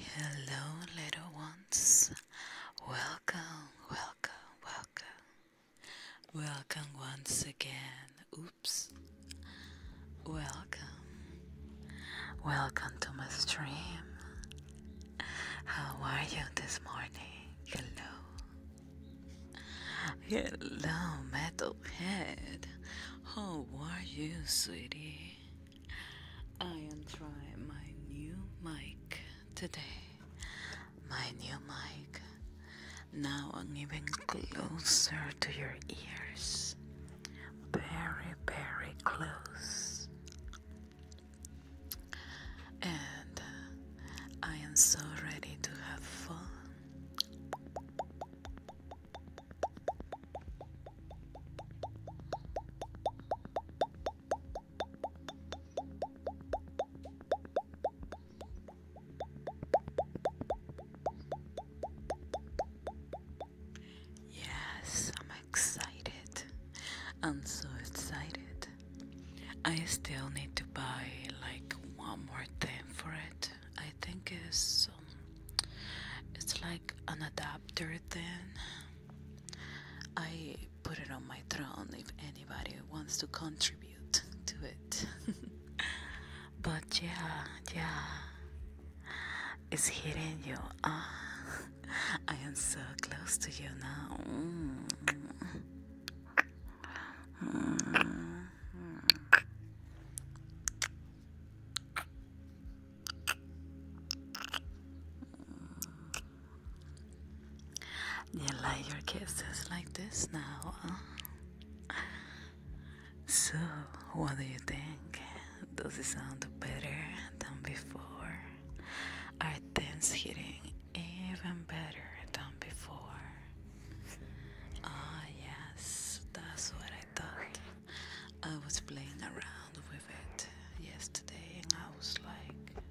Hello, little ones. Welcome, welcome, welcome. Welcome once again. Oops. Welcome. Welcome to my stream. How are you this morning? Hello. Hello, Metalhead. How are you, sweetie? I am trying my new mic today. My new mic. Now I'm even closer to your ears. Very, very close. And uh, I am so ready to have fun. Yes, I'm excited. I'm so excited. I still need to buy like one more thing for it. I think it's um, it's like an adapter thing. I put it on my throne if anybody wants to contribute to it. but yeah, yeah. It's hitting you. Ah, I am so close to you now. Mm. You like your kisses like this now? Huh? So, what do you think? Does it sound better than before? Are things hitting even better than before. Ah, yes, that's what I thought. I was playing around with it yesterday and I was like,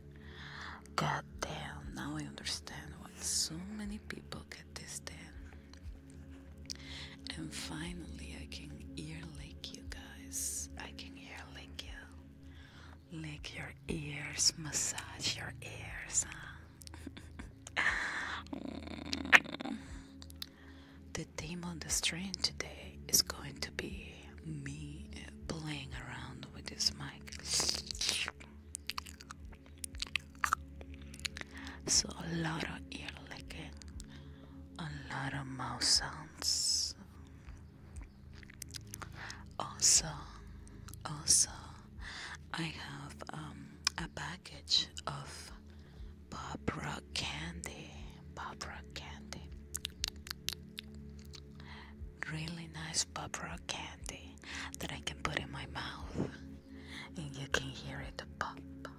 God damn, now I understand why so many people get this damn. And finally, I can ear lick you guys. I can ear lick you. Lick your ears, massage your ears, the theme on the stream today is going to be me playing around with this mic. So, a lot of ear licking, a lot of mouth sounds. Also, also I have um, a package of Barbara candy. Pop candy. Really nice Barbara candy that I can put in my mouth, and you can hear it pop, pop,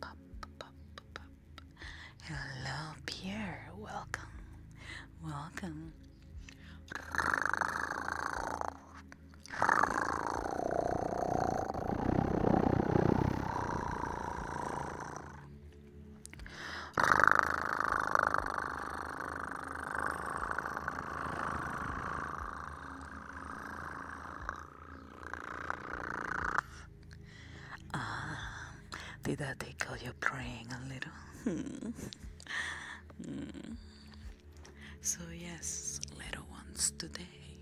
pop, pop, pop, pop. Hello, Pierre. Welcome, welcome did that tickle your brain a little? Hmm. Hmm. So, yes, little ones, today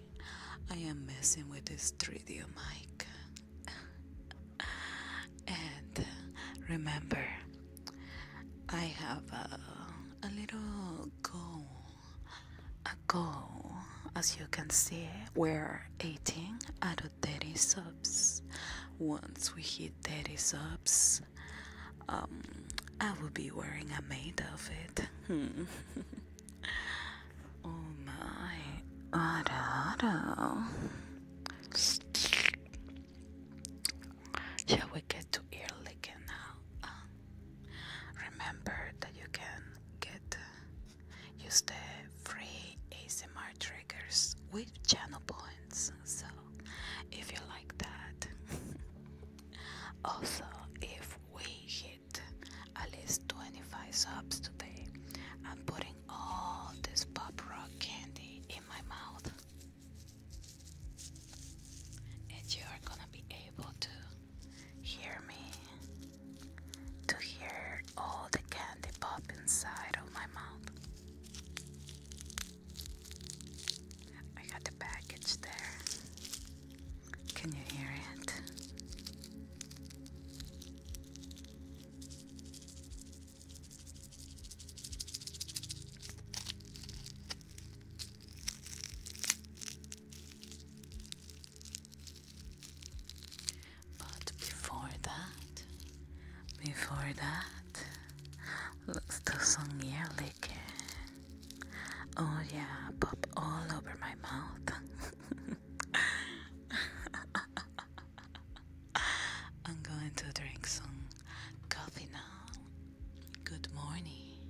I am messing with this 3D mic. and remember, I have a, little goal. A goal, as you can see, we're eating out of 30 subs. Once we hit 30 subs, because um, I will be wearing a maid outfit. Hmm. oh my. Ada, ada. Shall we get to ear licking now? Uh, remember that you can get uh, use the free ASMR triggers with channel points. So if you like that. also, if we hit at least 25 subs today, I'm putting all this pop rock candy in my mouth, and you are gonna be able to hear me to hear all the candy pop inside of my mouth. I got the package there. Can you hear it? But before that, before that, let's do some ear licking. Oh, yeah, pop all over my mouth. I'm going to drink some coffee now. Good morning.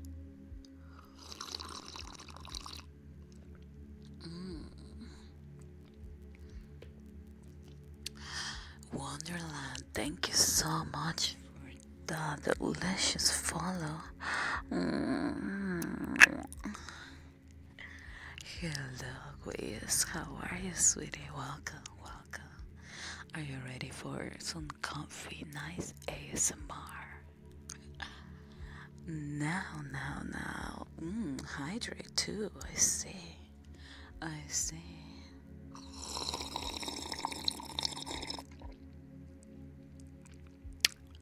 Mm. Wonderland, thank you so much the delicious follow. Hello, Quiz. How are you, sweetie? Welcome, welcome. Are you ready for some comfy, nice ASMR? Now, now, now. Mm, hydrate too. I see. I see.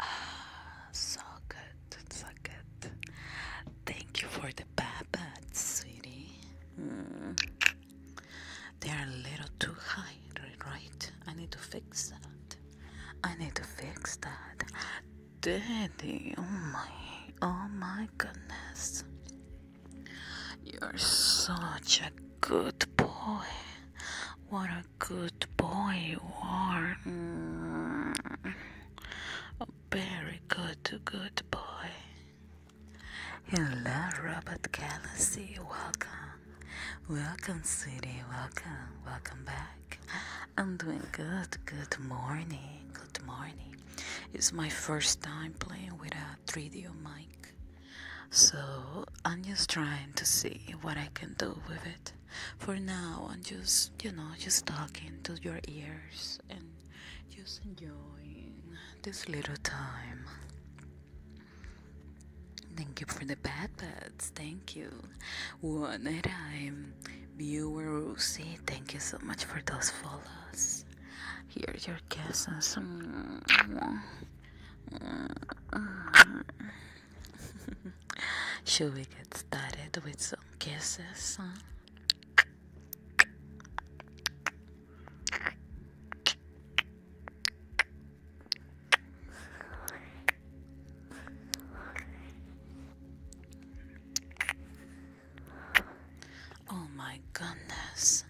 Ah, so good, so good. Thank you for the bad babat, sweetie. Mm. They are a little too high, right? I need to fix that. I need to fix that. Daddy, oh my, oh my goodness. You're such a good boy. What a good boy you are. Mm. A very good, good boy. Hello, Robert Galaxy. Welcome. Welcome, sweetie. Welcome. Welcome back. I'm doing good. Good morning. Good morning. It's my first time playing with a 3D mic. So I'm just trying to see what I can do with it. For now, I'm just, you know, just talking to your ears and just enjoying this little time. Thank you for the bad bats. Thank you. One a time. Viewer Lucy. thank you so much for those follows. Here's your kisses. Mm-hmm. Should we get started with some kisses? Oh my goodness.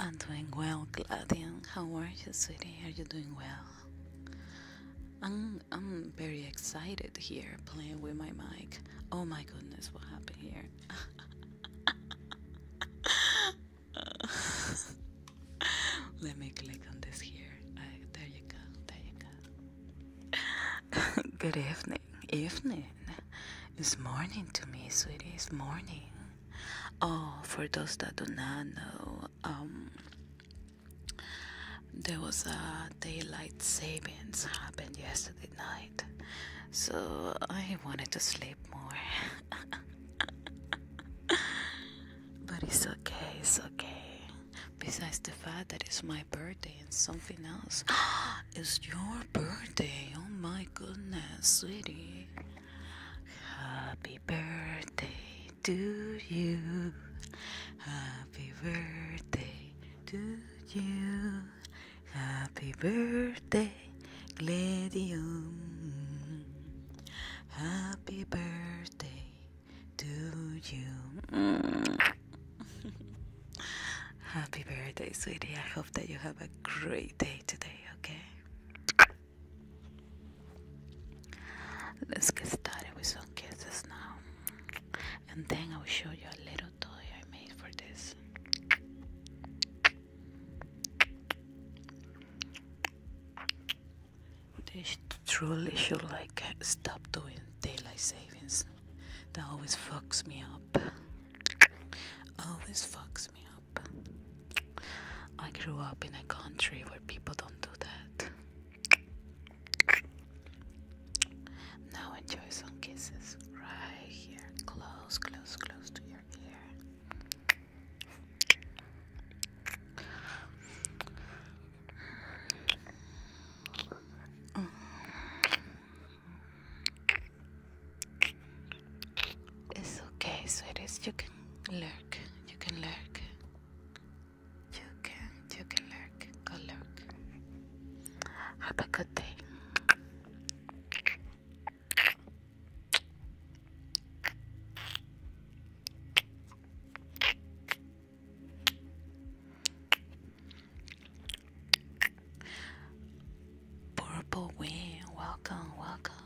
I'm doing well, Gladion. How are you, sweetie? Are you doing well? I'm, I'm very excited here playing with my mic. Oh my goodness, what happened here? Let me click on this here. Uh, there you go. There you go. Good evening. Evening. It's morning to me, sweetie. It's morning. Oh, for those that do not know, um, there was a daylight savings happened yesterday night, so I wanted to sleep more. but it's okay, it's okay. Besides the fact that it's my birthday and something else, it's your birthday. Oh my goodness, sweetie. Happy Happy birthday to you. Happy birthday to you. Happy birthday, Gladium. Happy birthday to you. Happy birthday, sweetie. I hope that you have a great day today, okay? Let's get started with some kisses now, and then I'll show you a little toy I made for this. This truly should like stop doing daylight savings. That always fucks me up. Always fucks me up. I grew up in a country where people don't do that. Now enjoy some kisses right here, close, close, close to your ear. It's okay, sweeties. You lurk. You can lurk. You can. You can lurk. Go lurk. Have a good day. Purple Wing, welcome, welcome.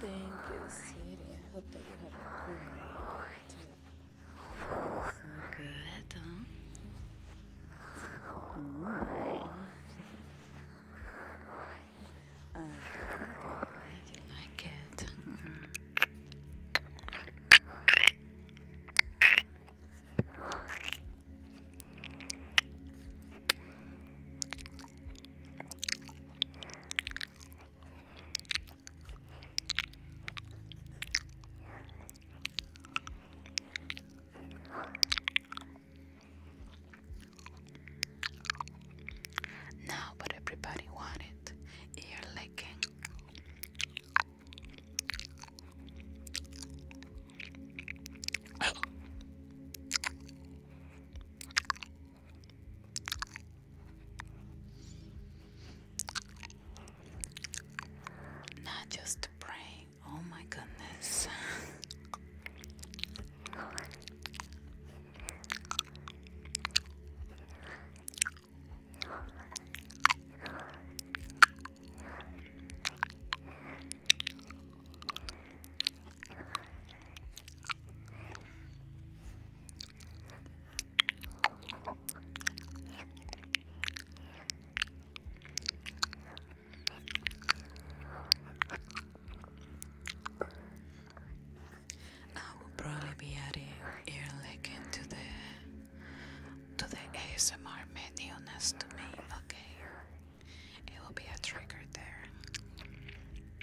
Thank you, sweetie. I hope that you have a cool night. So good, huh? Mm. Uh, like it. Now, but everybody wanted ear licking. Not just praying, oh my goodness. I will probably be adding ear licking to the to the ASMR menu next to me, okay? It will be a trigger there.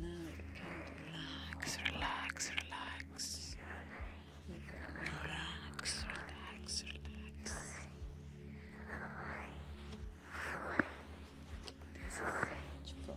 Now you can relax, relax, relax. Relax, relax, relax. This is such fun.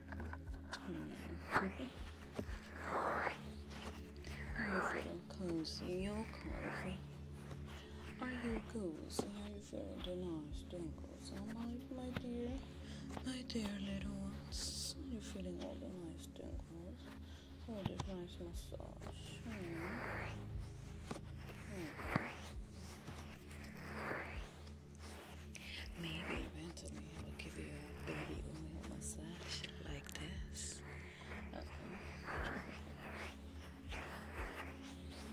cozy, you're cozy. Are you cozy? Are you very nice dingles? Oh my, my dear, my dear little ones. Are you feeling all the nice dingles? All this nice massage. Maybe eventually I will give you a baby massage like this.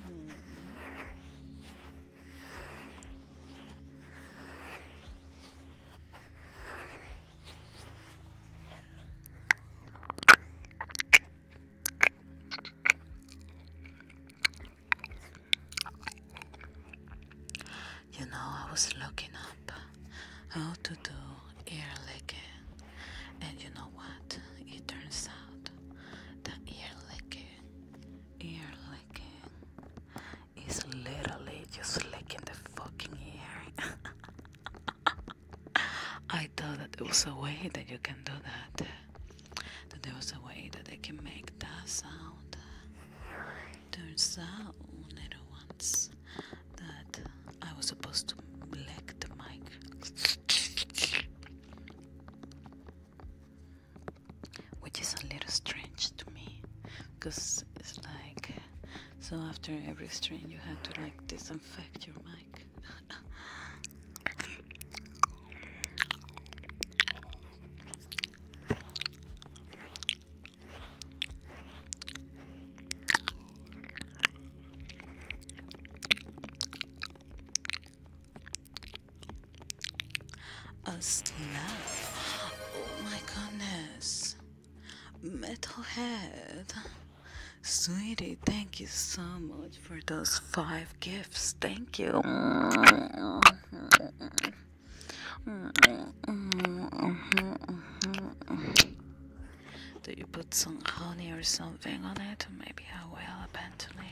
Mm-hmm. You know, I was looking up how to do ear licking, and you know what? It turns out that ear licking, ear licking is literally just licking the fucking ear. I thought that there was a way that you can do that, that there was a way that they can make that sound. Turns out, little ones, that I was supposed to black the mic. Which is a little strange to me, because it's like, so after every strain you had to like disinfect your mic. A slap. Oh my goodness. Metalhead. Sweetie, thank you so much for those five gifts. Thank you. Do you put some honey or something on it? Maybe I will apparently.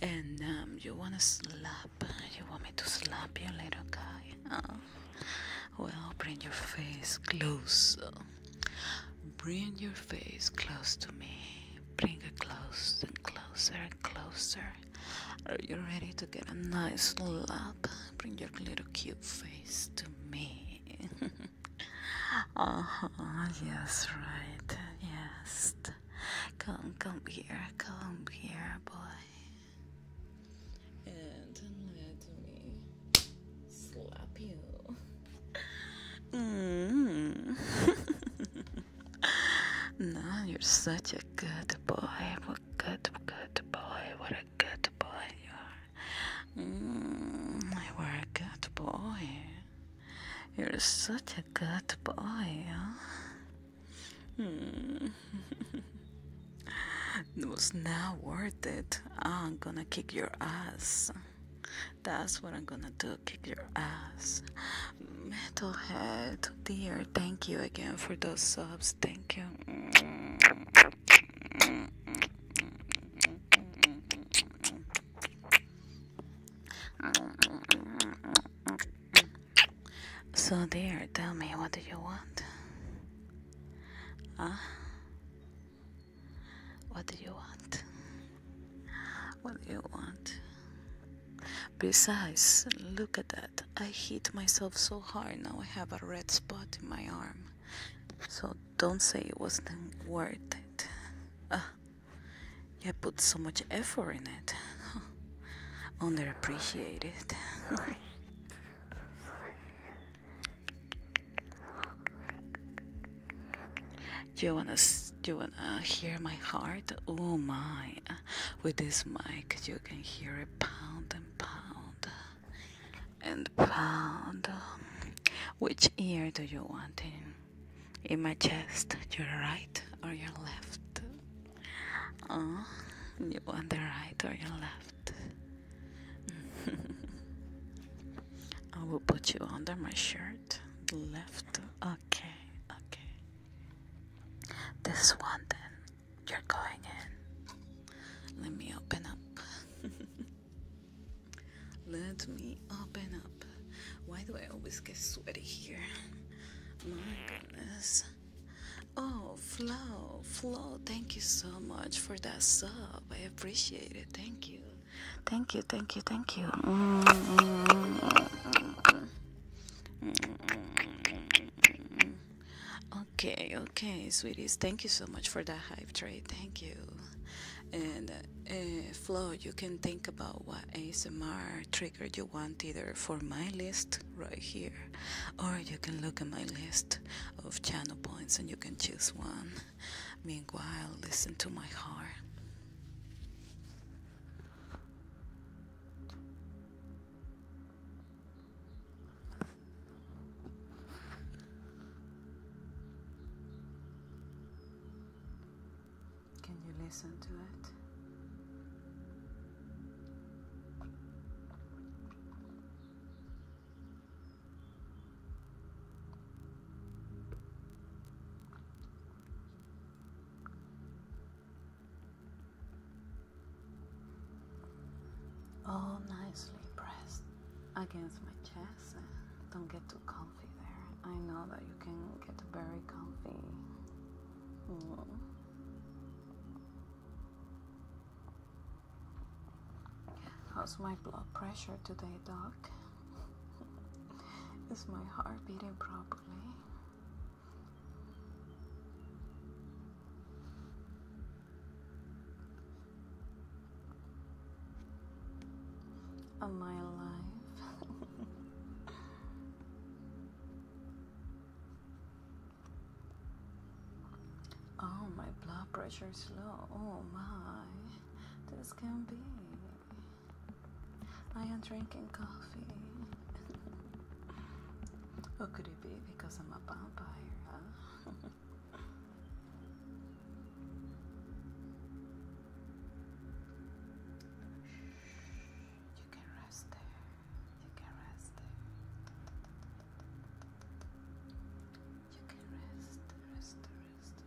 And um, you wanna slap? You want me to slap you, little guy? Oh. Well, bring your face close. Bring your face close to me. Bring it closer and closer and closer. Are you ready to get a nice slap? Bring your little cute face to me. oh, yes, right. Yes. Come, come here. Come here, boy. And let me slap you. Mm. Mm-hmm. now you're such a good boy. What good, good boy. What good boy. You are. Mm, you a good boy. You're such a good boy. Hmm. it was not worth it. I'm gonna kick your ass. That's what I'm gonna do, kick your ass. Metalhead, dear, thank you again for those subs. Thank Thank So dear, tell me what do you want? Huh? What do you want? What do you want? Besides, look at that. I hit myself so hard now I have a red spot in my arm. So don't say it wasn't worth it. I put so much effort in it. Underappreciated. Do you wanna do you wanna hear my heart? Oh my! With this mic, you can hear it pound and pound and proud. Which ear do you want in? In my chest, your right or your left? Oh, you want the right or your left? I will put you under my shirt. Left. Okay, okay. This one then. You're going in. Let me open up. Let me open up. Why do I always get sweaty here? My goodness. Oh, Flo, Flo, thank you so much for that sub. I appreciate it. Thank you. Thank you, thank you, thank you. Mm-hmm. Okay, okay, sweeties. Thank you so much for that hive trade. Thank you. And eh, Flo, you can think about what ASMR trigger you want either for my list right here, or you can look at my list of channel points and you can choose one. Meanwhile, listen to my heart. Can you listen to it? all nicely pressed against my chest. Don't get too comfy there. I know that you can get very comfy. Mm. How's my blood pressure today, Doc? Is my heart beating properly? Am I alive? oh, my blood pressure is low. Oh my, this can not be. I am drinking coffee. Who could it be? Because I'm a vampire, huh? you can rest there. You can rest there. You can rest, rest, rest, rest.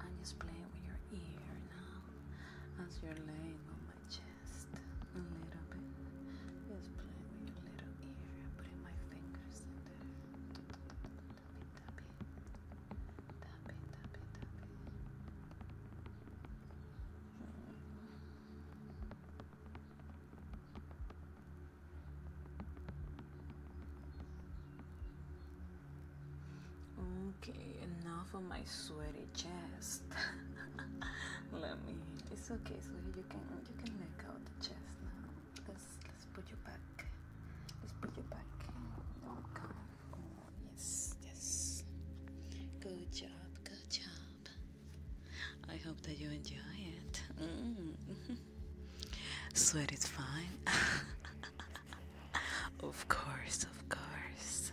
And just play with your ear now as you're laying on my just a little bit. Just play with your little ear. I'm putting my fingers in there. Tap it, tap it. my sweaty chest. let me. It's okay, so you can you can let out the chest now. Let's let's put you back. Let's put you back. come. Oh, yes, yes. Good job, good job. I hope that you enjoy it. Mm. Sweat is fine. of course, of course.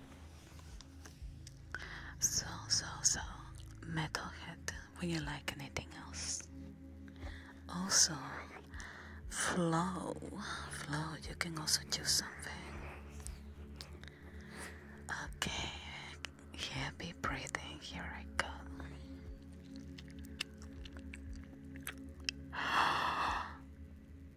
So, so, so, metalhead, would you like anything else? Also, flow, flow, you can also do something. Okay, heavy breathing, here I go.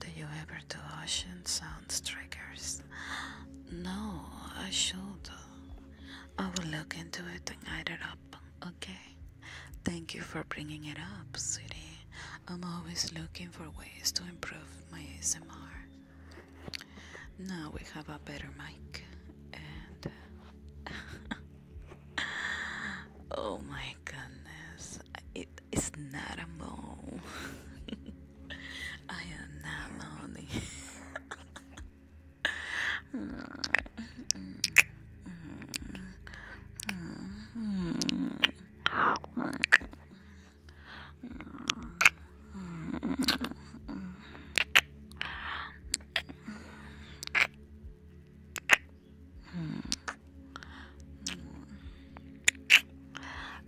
Do you ever do ocean sounds triggers? No, I should. I will look into it and add it up, okay? Thank you for bringing it up, sweetie. I'm always looking for ways to improve my ASMR. Now we have a better mic, and uh, oh my goodness, it is not a mole. I am not lonely.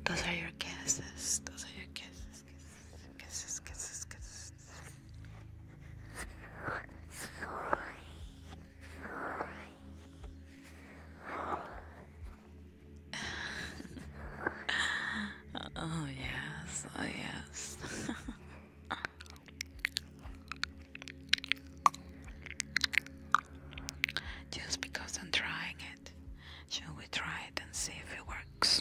Those are your kisses. Those are your kisses. Kisses, kisses, kisses. kisses oh, yes, oh, yes. Just because I'm trying it, shall we try it and see if it works?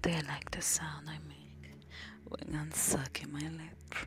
Do you like the sound I make when I'm sucking my lips?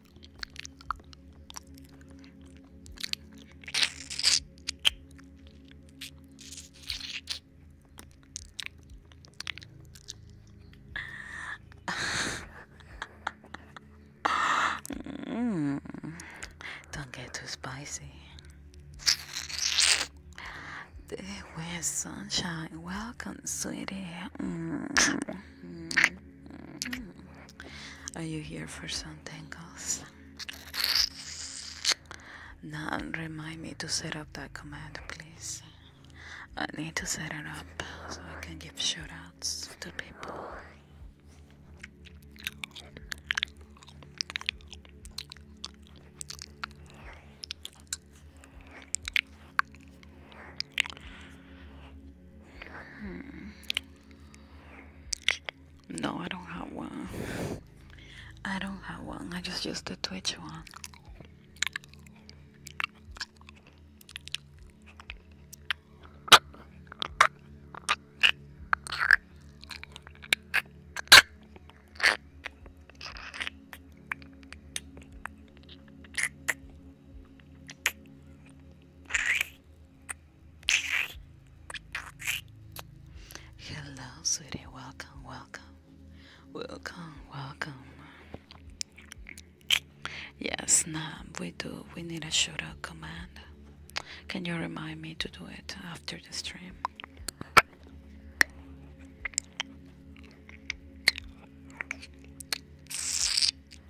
Don't get too spicy. Where's sunshine? Welcome, sweetie. Are you here for something else? Now remind me to set up that command, please. I need to set it up so I can give shoutouts to people. Hmm. No, I don't have one. I don't have one. I just use the Twitch one. Hello, sweetie. Welcome, welcome, welcome, welcome. Yes, now we do. We need a shootout command. Can you remind me to do it after the stream?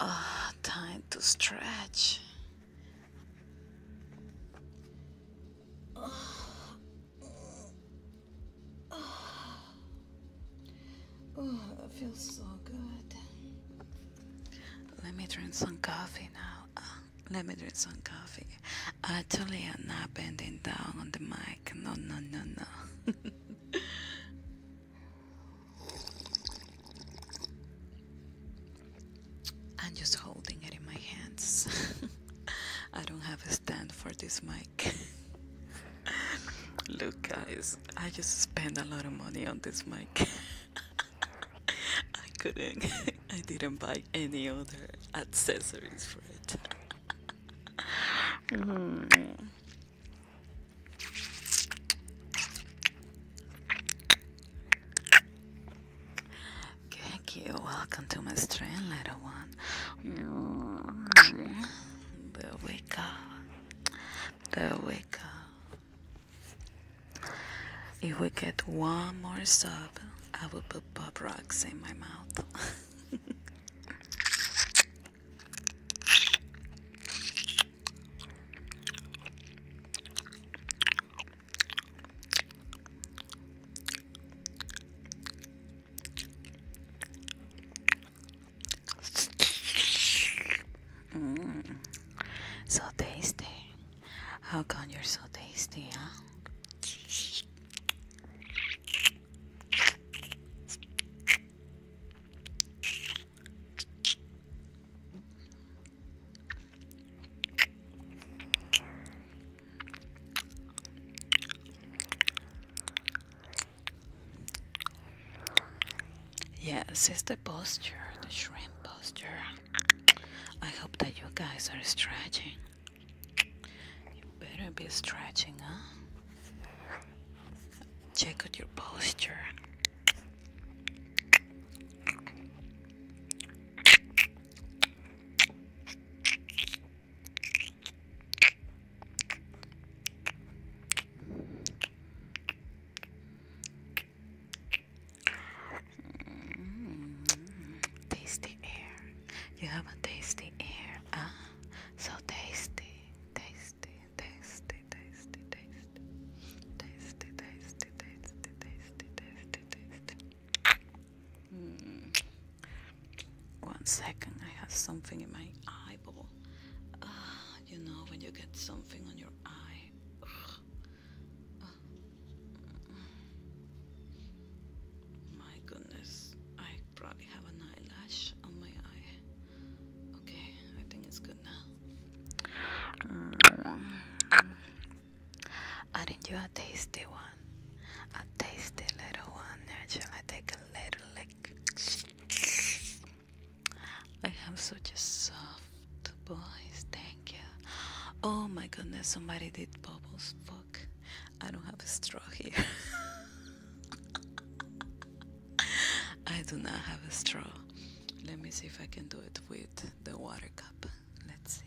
Ah, time to stretch. Oh. Oh. that feels so good. Let me drink some coffee now. Ah, let me drink some coffee. Totally, I'm not bending down on the mic. No, no, no, no. I'm just holding it in my hands. I don't have a stand for this mic. Look, guys, I just spent a lot of money on this mic. I couldn't, I didn't buy any other accessories for it. Mm-hmm. Thank you. Welcome to my stream, little one. There we go. There wake up. If we get one more sub, I will put pop rocks in my mouth. Mm. So tasty. How come you're so tasty, huh? Yes, it's the posture, the shrimp posture. I hope that you guys are stretching. You better be stretching, huh? Check out your posture. Mm, air. You have a tasty air, ah, so tasty, tasty tasty, tasty, tasty, tasty, tasty, tasty, tasty, tasty, tasty, tasty. Mm. One second, I have something in my eyeball. Uh, you know when you get something on your eye. Uh, my goodness, I probably have an eyelash on my eye. I think it's mm. are a tasty one? A tasty little one. Shall I take a little lick? I have such a soft voice. Thank you. Oh my goodness, somebody did bubbles. Fuck. I don't have a straw here. I do not have a straw. Let me see if I can do it with the water cup. Let's see.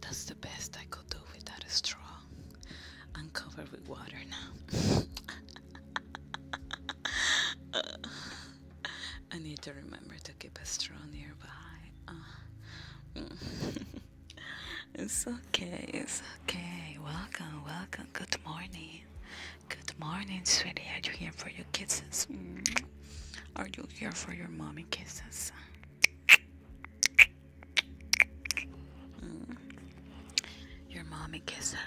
That's the best I could do without a straw. I'm covered with water now. Uh, I need to remember to keep a straw nearby. Uh. it's okay, it's okay. Welcome, welcome. Good morning. Good morning, sweetie. Are you here for your kisses? Mm. Are you here for your mommy kisses? Mm. Your mommy kisses.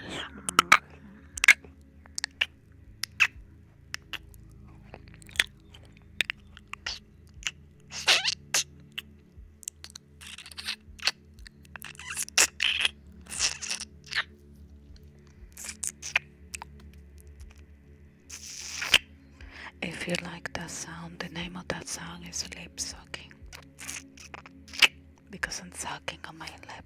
If you like that sound, the name of that sound is lip sucking because I'm sucking on my lip.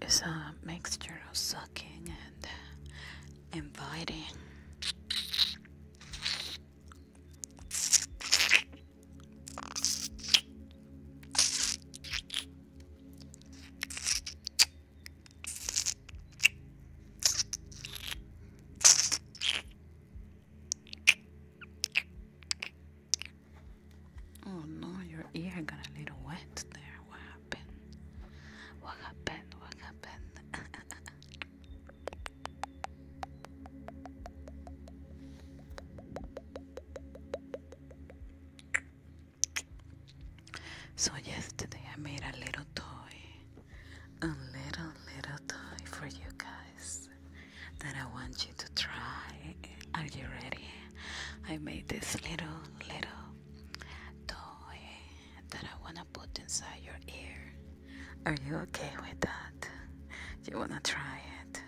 It's a mixture of sucking and uh, inviting. Oh no, your ear got a little wet there. What happened? What happened? What happened? so yesterday I made a little toy. A little little toy for you guys that I want you to try. Are you ready? I made this little, little toy that I want to put inside your ear. Are you okay with that? You want to try it?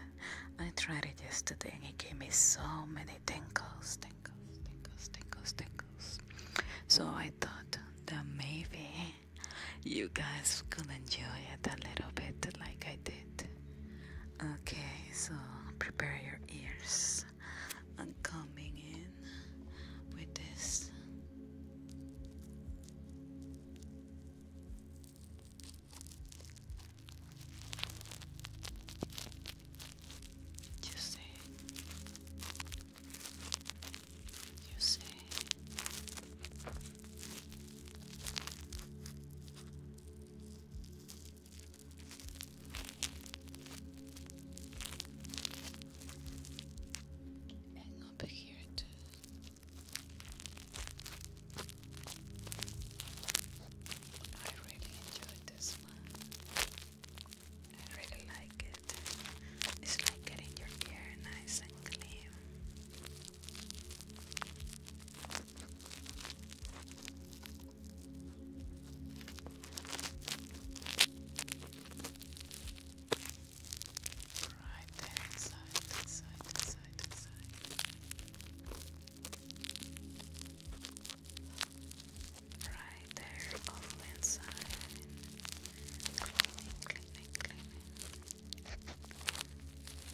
I tried it yesterday and it gave me so many tingles, tingles, tingles, tingles, tingles. So I thought that maybe you guys could enjoy it a little bit like I did. Okay, so prepare your ears. I'm coming in with this. You see, you see, and up I really enjoyed this one. I really like it. It's like getting your hair nice and clean. Right there inside, inside, inside, inside. Right there, all inside. Cleaning, cleaning, cleaning.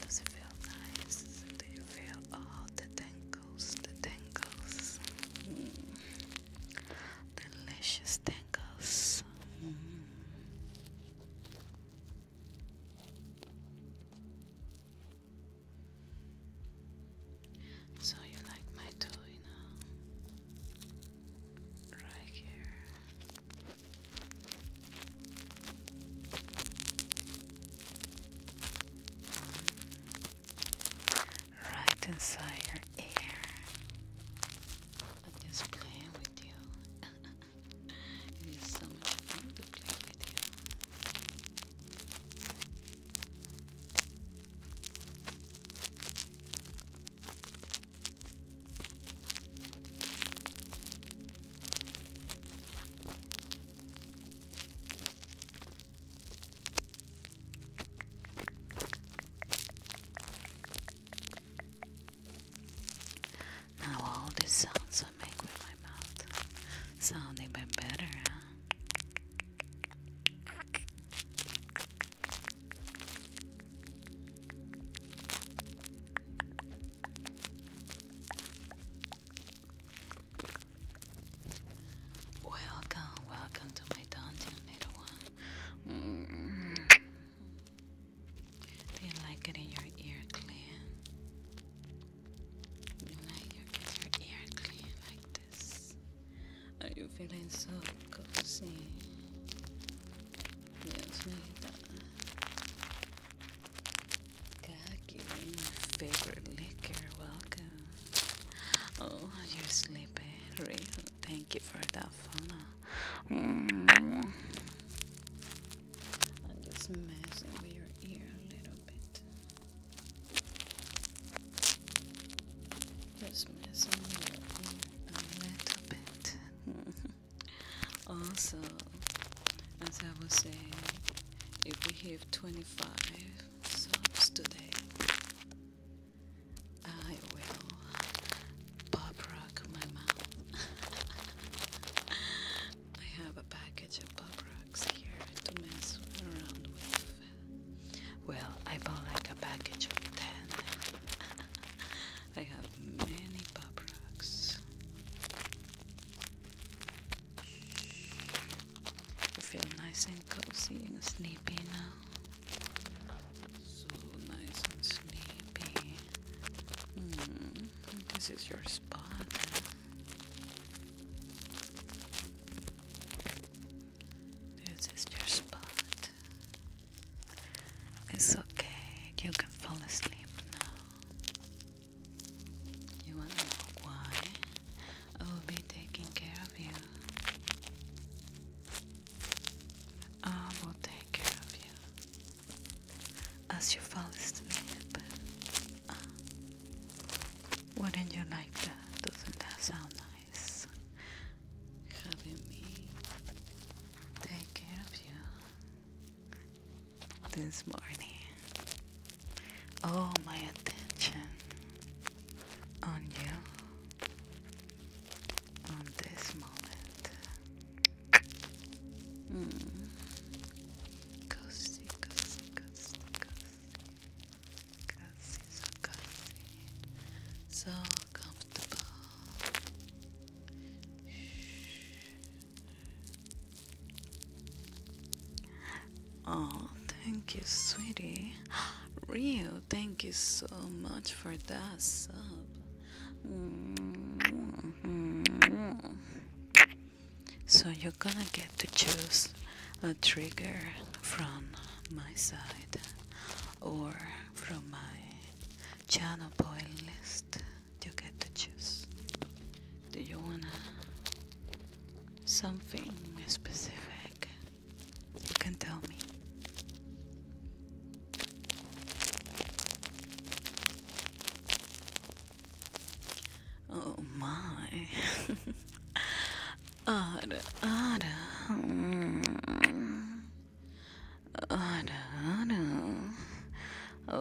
Does it feel nice? Do you feel all the tingles? The tingles? Mm. Delicious tingles. So you like my toy now? Right here. Right inside your ear. i just playing with you. it is so much fun to play with you. Now all the sounds I make with my mouth sound even better, huh? Welcome, welcome to my dungeon, little one. Do you like getting your ear clean? Do you like you get your ear clean like this? Are you feeling so cozy? Yes, like favorite liquor, welcome. Oh, you're sleepy, Thank you for that follow. Mm. I'm with your ear a little bit. Just messing with your ear a little bit. also, as I was saying, if we have 25 subs today, I will bob rock my mouth. I have a package of pop rocks here to mess around with. Well, I bought like a package of 10. I have many pop rocks. I feel nice and cozy and sleepy now. So nice and sleepy. Hmm, this is your spot. This is your spot. It's okay. You can fall asleep now. You want to know why? I will be taking care of you. I will take care of you. As you fall asleep. Uh, wouldn't you like that? Doesn't that sound nice? Having me take care of you this morning. All my attention on you on this moment. Hmm. so comfortable. Oh, thank you, sweetie. Rio, thank you so much for that sub. So you're gonna get to choose a trigger from my side or from my channel playlist you get to choose. Do you want something specific? You can tell me. Oh my. Ada, ada. Ada, ada. Okay, お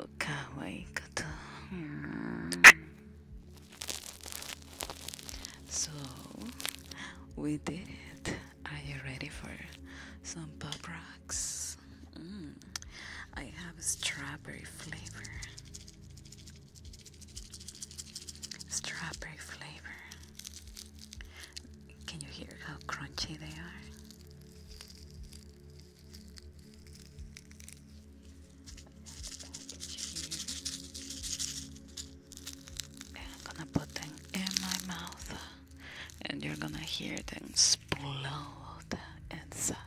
かわいいこと、mm. so we did it are you ready for some pop rocks mm. i have strawberry flavor strawberry flavor can you hear how crunchy they are and I'm gonna put them in my mouth, and you're gonna hear them explode inside.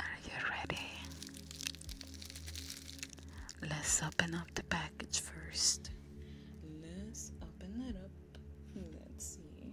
Are you ready? Let's open up the package first. Let's open it up. Let's see.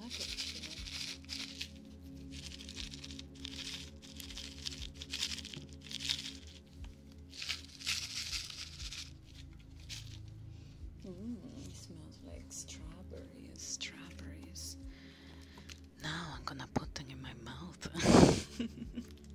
package here. smells like strawberries, strawberries. Now I'm gonna put them in my mouth.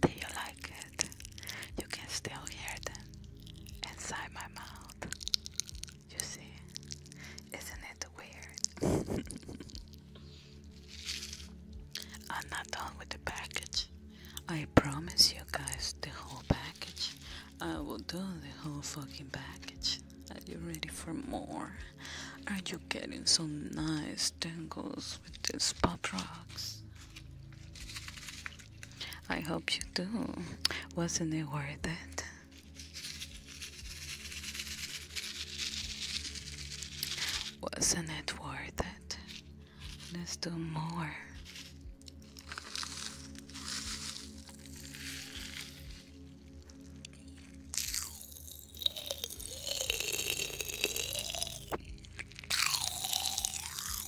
Do you like it? You can still hear the inside my mouth. You see? Isn't it weird? I'm not done with the package. I promise you guys the whole package. I will do the whole fucking package. Are you ready for more? Are you getting some nice tangles with these pop rocks? I hope you do. Wasn't it worth it? Wasn't it worth it? Let's do more.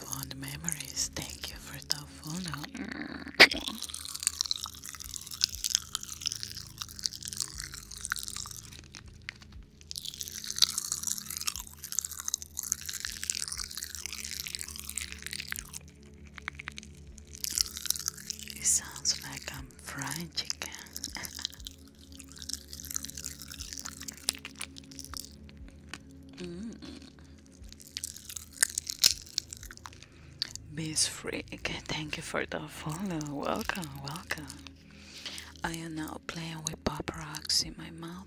Fond memories. Thank you for the phone follow. It sounds like I'm fried chicken. mm. Bees Freak, thank you for the follow. Welcome, welcome. I am now playing with pop rocks in my mouth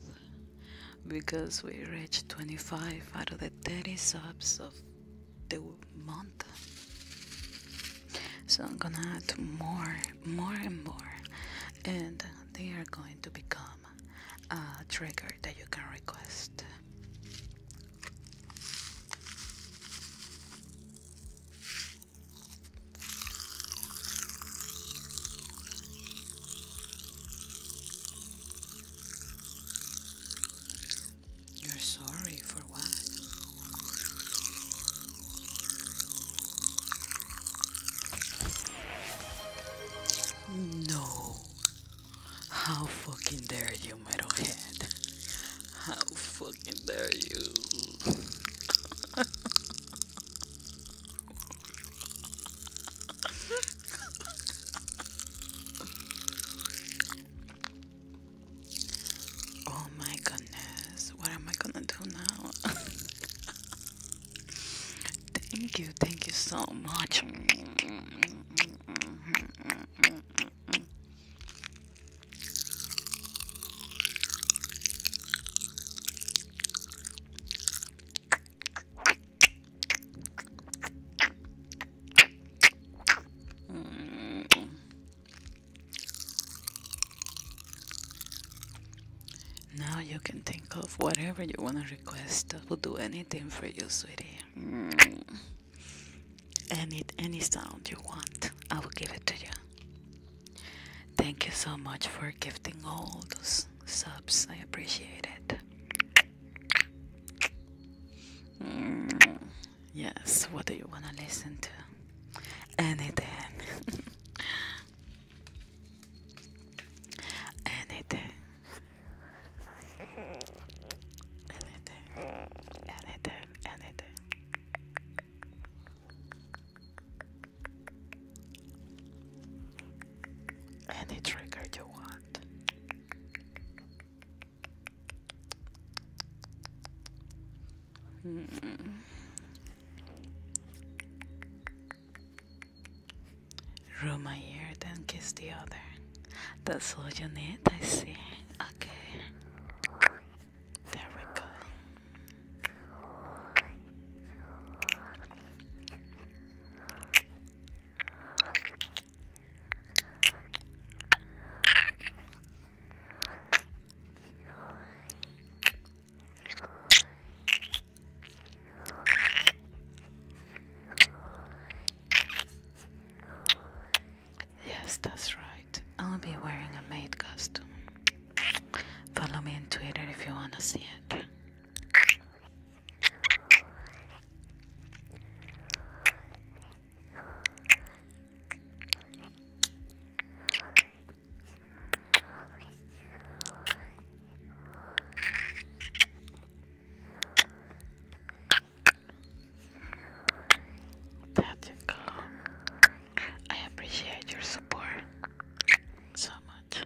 because we reached 25 out of the 30 subs of the month so I'm gonna add more more and more and they are going to become a trigger that you can request you're sorry for what? No. How fucking dare you, metalhead? How fucking dare you? oh my goodness, what am I gonna do now? thank you, thank you so much. Mm. Now you can think of whatever you want to request. I will do anything for you, sweetie. Mm. Any any sound you want, I will give it to you. Thank you so much for gifting all those subs. I appreciate it. Mm, yes, what do you want to listen to? Anything. Anything. Anything. Anything. Anything. Any trigger you want. Hmm. Roll my ear, then kiss the other. That's all you need, I see. Okay. There we Yes, that's right. I'll be wearing a maid costume. Follow me on Twitter if you want to see it. Thank you. I appreciate your support so much.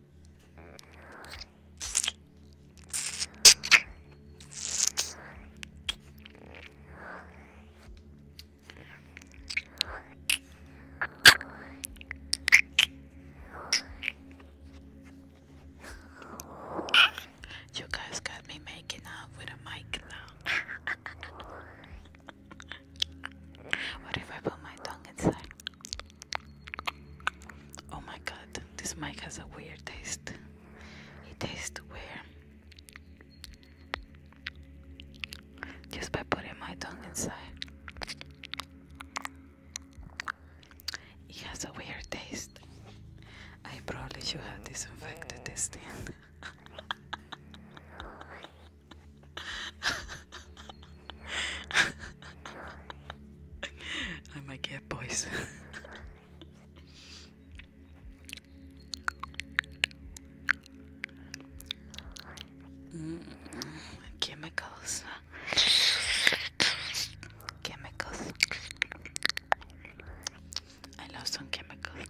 You guys got me making out with a mic now. what if I put my tongue inside? Oh my god, this mic has a weird taste. It tastes weird. Just by putting my tongue inside. It has a weird taste. I probably should have disinfected this thing. I'm a get boys. Mm, chemicals. Chemicals. I love some chemicals.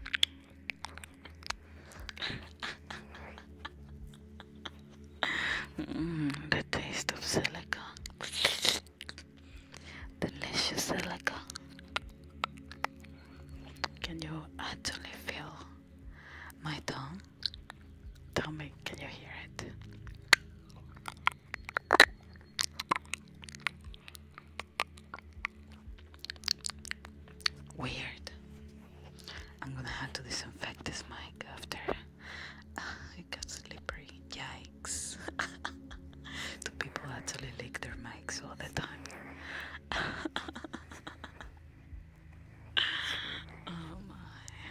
Mm, the taste of silica. Delicious silica. Can you actually feel my tongue? Tell me, can you hear it? Weird. I'm gonna have to disinfect this mic after. it got slippery. Yikes. Do people actually lick their mics all the time? oh my.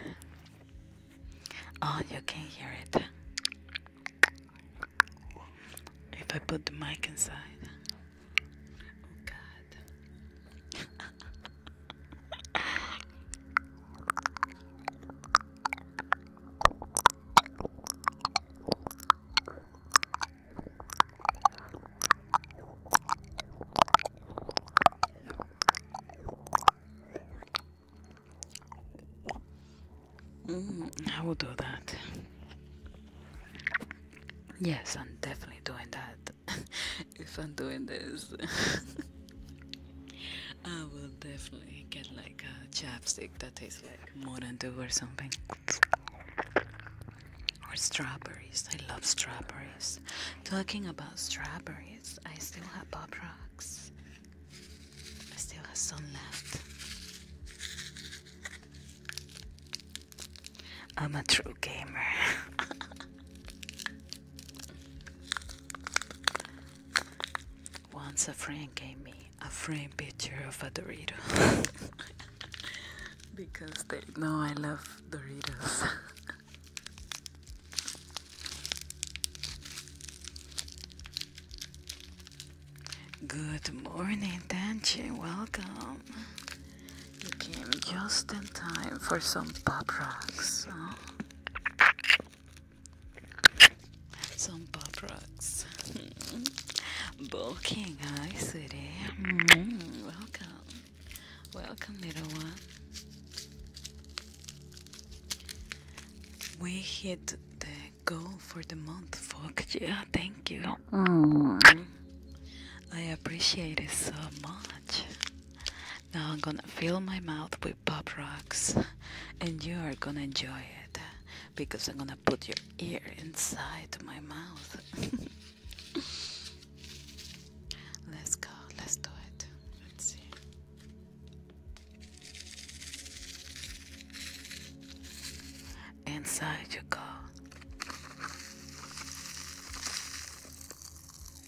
Oh, you can hear it. If I put the mic inside. Oh god. Mm, I will do that. Yes, I'm definitely doing that. if I'm doing this, I will definitely get like a chapstick that tastes like Mountain Dew or something. Or strawberries. I love strawberries. Talking about strawberries, I still have Bob Rocks. I still have some left. I'm a true gamer. Once a friend gave me a framed picture of a Dorito because they know I love Doritos. Good morning, Danchi. Welcome. You came just in time for some pop rocks. Some pop rocks. Hmm. Bulking, hi sweetie. Hmm, welcome. Welcome little one. We hit the goal for the month, fuck yeah, thank you. Hmm. I appreciate it so much. Now I'm gonna fill my mouth with pop rocks and you are gonna enjoy it because I'm gonna put your ear inside my mouth. let's go, let's do it. Let's see. Inside you go.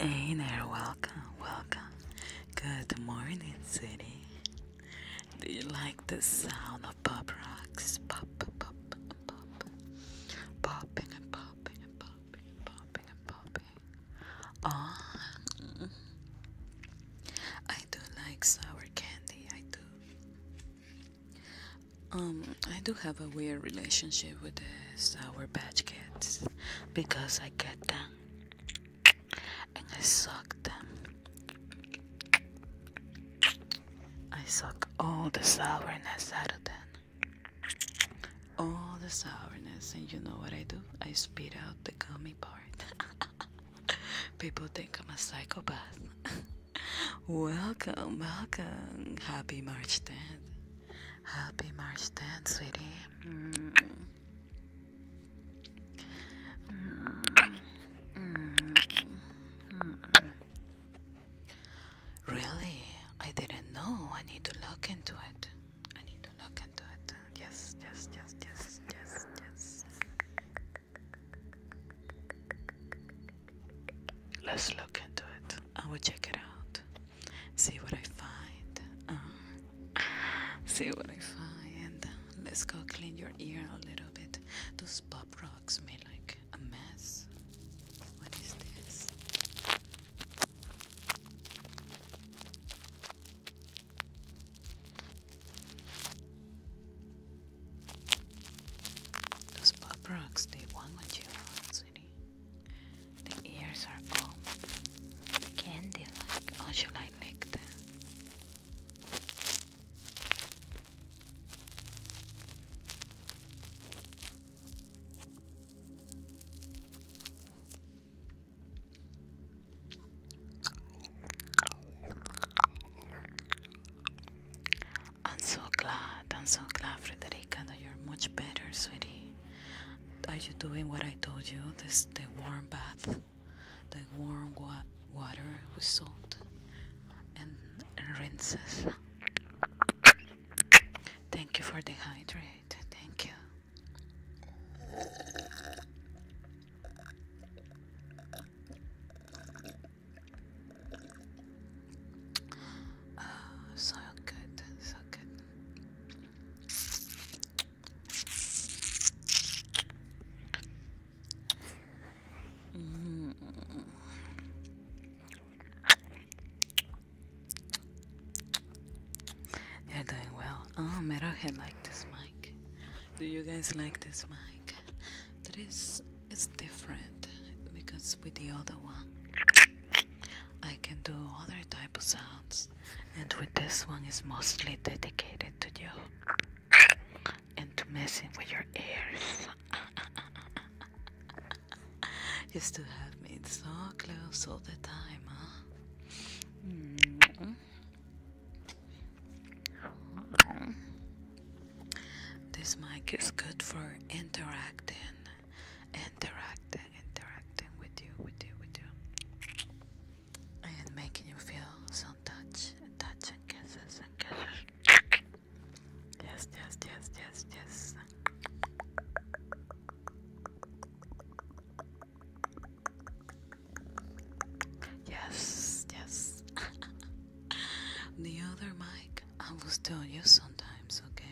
Hey there, welcome, welcome. Good morning, city. Do you like the sound of pop rocks? Pop, pop, pop, pop. Popping and popping and popping and popping and popping. Ah, oh, I do like sour candy, I do. Um, I do have a weird relationship with the sour patch kids because I get them and I suck them. I suck all the sourness out of them. All the sourness, and you know what I do? I spit out the gummy part. People think I'm a psychopath. welcome, welcome. Happy March 10th. Happy March 10th, sweetie. Mm. Really? I didn't know. I need to look into it. I need to look into it. Yes, yes, yes, yes, yes, yes. Let's look into it. I will check it out see what I find. Um, see what I find. Let's go clean your ear a little bit. Those pop rocks made like a mess. What is this? Those pop rocks, they want what you want, sweetie. The ears are all candy like. Oh, I lick them? I'm so glad, I'm so glad, Frederica, you're much better, sweetie. Are you doing what I told you? This the warm bath, the warm water with salt and, rinses. Thank you for the hydrate. Thank you. Ah, so good, so good. You're doing well. Oh, Meroje like this mic. Do you guys like this mic? That is, it's different because with the other one, I can do other type of sounds and with this one is mostly dedicated to you and to messing with your ears. you still have me so close all the time, huh? Mm-hmm. This mic is good for interacting, interacting, interacting with you, with you, with you and making you feel some touch and touch and kisses and kisses. Yes, yes, yes, yes, yes. Yes, yes. the other mic I will still use sometimes, okay?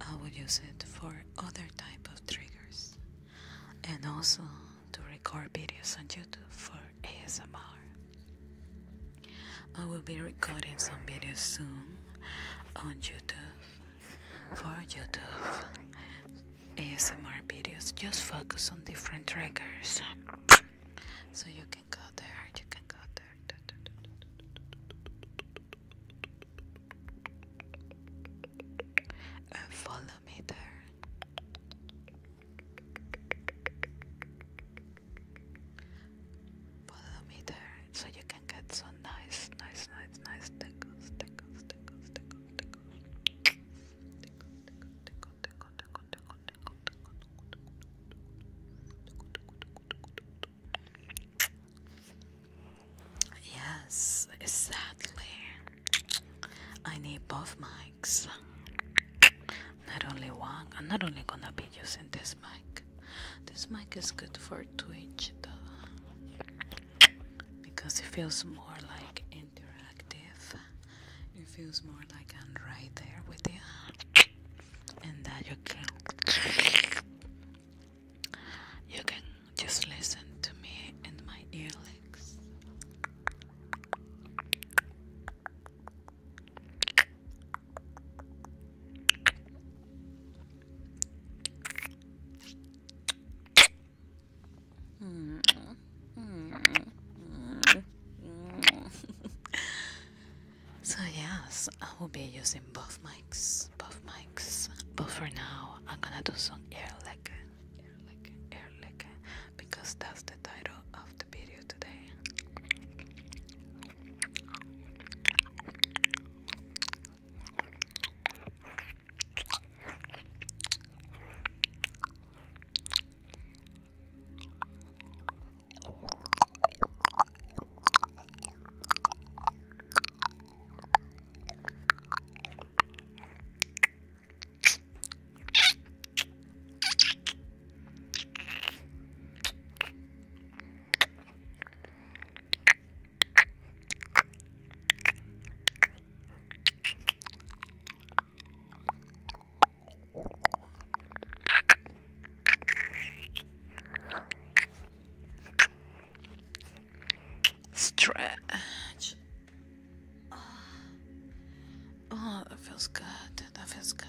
I will use it for other type of triggers and also to record videos on YouTube for ASMR. I will be recording some videos soon on YouTube for YouTube ASMR videos. Just focus on different triggers so you can go there. You can go there een volle meter. Volle meter, so you can get some nice, nice, nice, nice tickles, tickles, tickles, tickles, tickles. Tickle, tickle, tickle, tickle, tickle, tickle, tickle, tickle. Yes, sadly, I need both mics. Not only one, I'm not only gonna be using this mic. This mic is good for Twitch though, because it feels more like interactive. It feels more like I'm right there with you, and that you can you can just listen to me and my earlicks. so yes, I will be using both mics, both mics, but for now I'm gonna do some ear Erleke, Erleke, because that's the title of the video today. Stretch. Oh, that feels good. That feels good.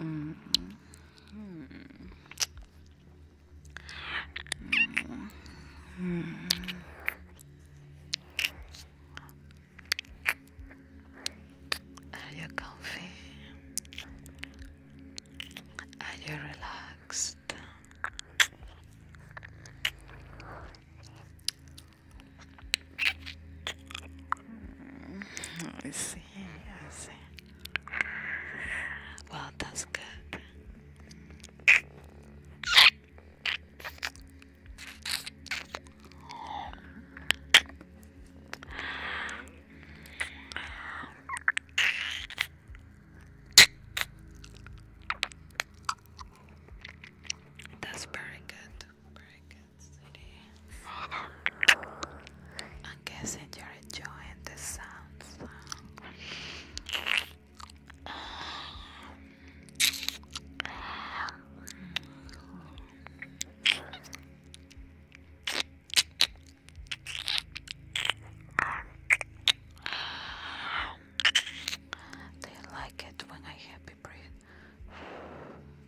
Mm -hmm. -hmm. Are you comfy? Are you relaxed? I see, I see. Well, that's good. That's very good. I'm guessing you're enjoying the sounds. They like it when I happy breathe.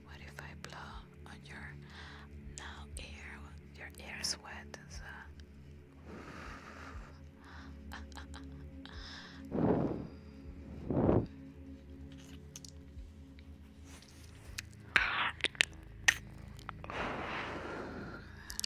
What if I blow on your now ear? Your ear's wet. So.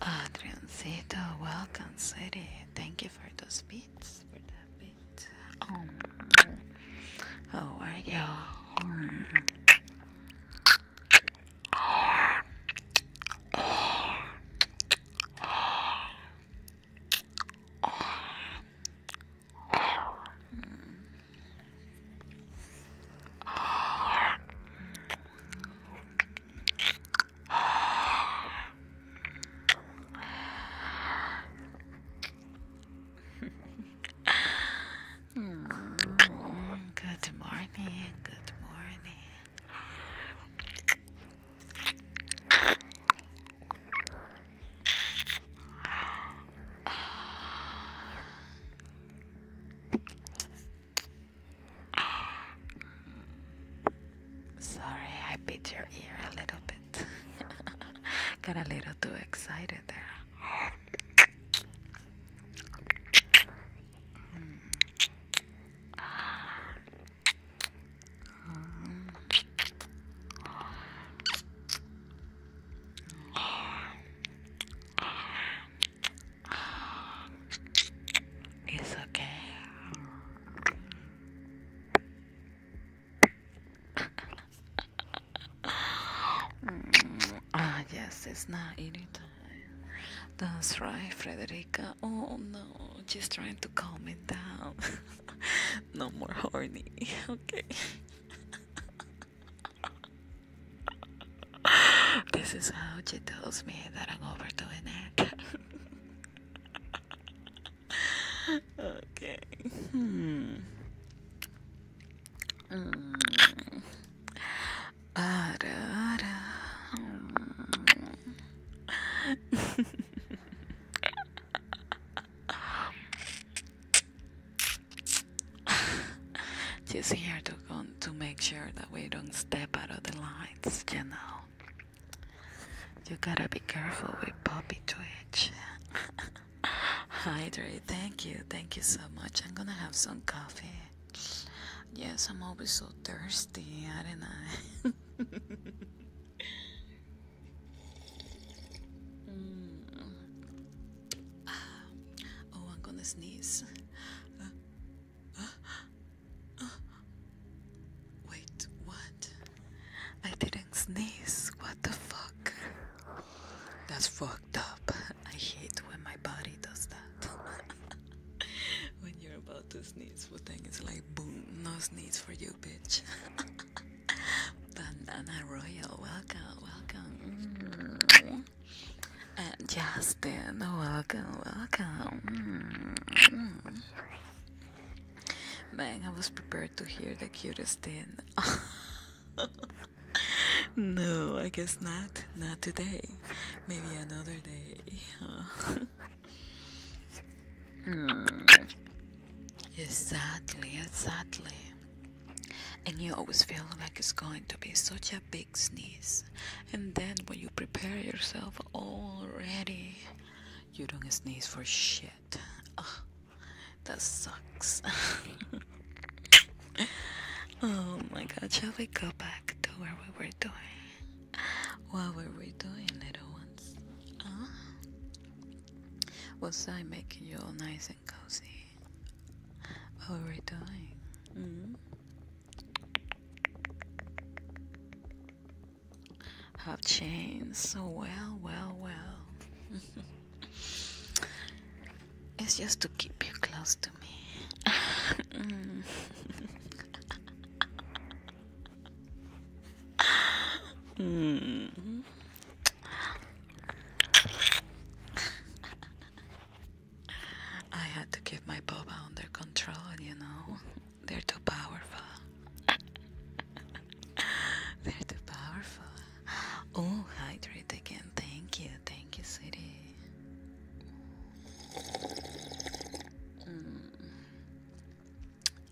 Adriancito, uh, welcome, sweetie. Thank you for those beats. For that beat. Oh, how are you? Good morning. Good morning. Sorry, I bit your ear a little bit. Got a little too excited there. It's okay. ah, yes, it's not eating That's right, Frederica. Oh no, just trying to calm it down. no more horny. Okay. this is how she tells me that I'm overdoing it. okay. Hmm. Mm. Ah, da, da. Just here to go to make sure that we don't step out of the lines, you know. You gotta be careful with Poppy Twitch. Hydrate, thank you, thank you so much. I'm gonna have some coffee. Yes, I'm always so thirsty, aren't I? Ah, oh, I'm gonna sneeze. wait, what? I didn't sneeze. What the fuck? That's fucked up. I hate when my body does that. when you're about to sneeze, but then it's like, boom, no sneeze for you, bitch. Banana Royal, welcome, welcome. Mm. And uh, Justin, welcome, welcome. Mm. Man, I was prepared to hear the cutest thing. no, I guess not. Not today. Maybe another day. mm. Exactly, sadly and you always feel like it's going to be such a big sneeze and then when you prepare yourself already you don't sneeze for shit oh, that sucks oh my god shall we go back to where we were doing what were we doing little ones huh? was i making you all nice and cozy what oh, we doing? Mm -hmm. Have changed so well, well, well. it's just to keep you close to me. Mm. I had to keep my boba under control, you know. They're too powerful. They're too powerful. Oh, hydrate again. Thank you. Thank you, sweetie. Mm.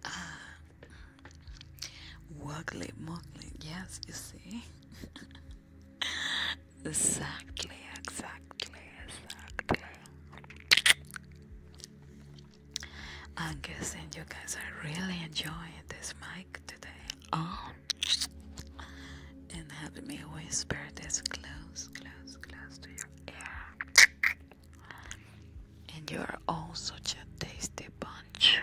Ah. Wuggly muggly. Yes, you see. exactly, exactly, exactly. I'm guessing you guys are really enjoying this mic today. Oh, and having me whisper this close, close, close to your ear. And you are all such a tasty bunch.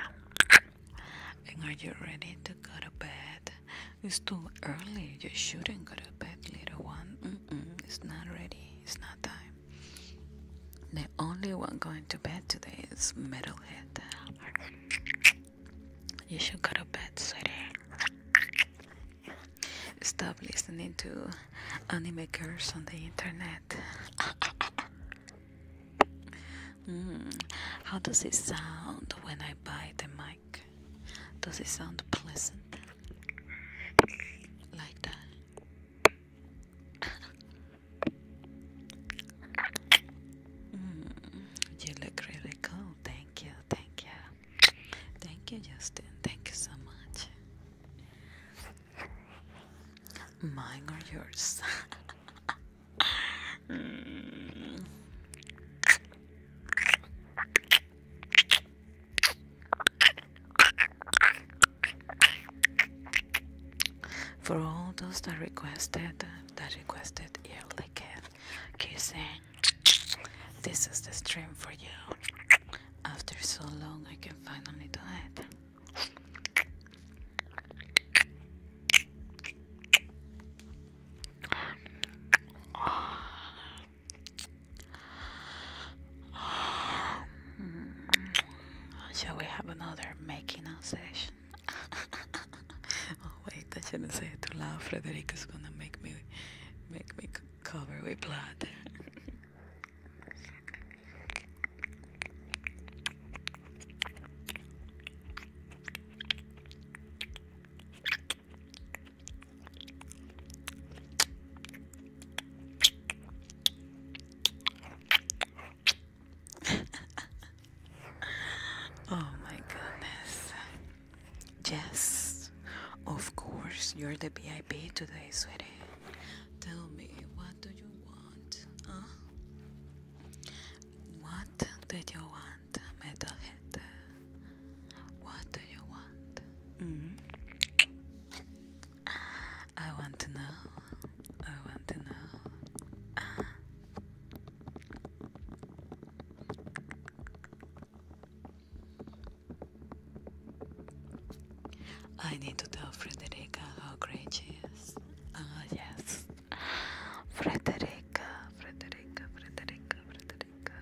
And are you ready to go to bed? It's too early. You shouldn't go to bed, little one. it's not ready. It's not time. The only one going to bed today is Metalhead. You should go to bed, sweetie. Stop listening to anime girls on the internet. Mm. how does it sound when I buy the mic? Does it sound pleasant? Like that? Mm. you look really cool. Thank you, thank you. Thank you, Justin. Thank you so much. Mine or yours? For all those that requested, that requested early kiss, kissing, this is the stream for you. After so long, I can finally do it. Shall we have another making out session? oh wait, I shouldn't say it too loud. Frederick is gonna make me make me cover with blood. oh my goodness. Yes, of course, you're the VIP today, sweetie. Tell me, what do you want? Huh? What did you want? metalhead? Mm-hmm. What do you want? I want to know. I want to know. I need to tell Frederica how great she is. Ah, yes. Frederica, Frederica, Frederica, Frederica,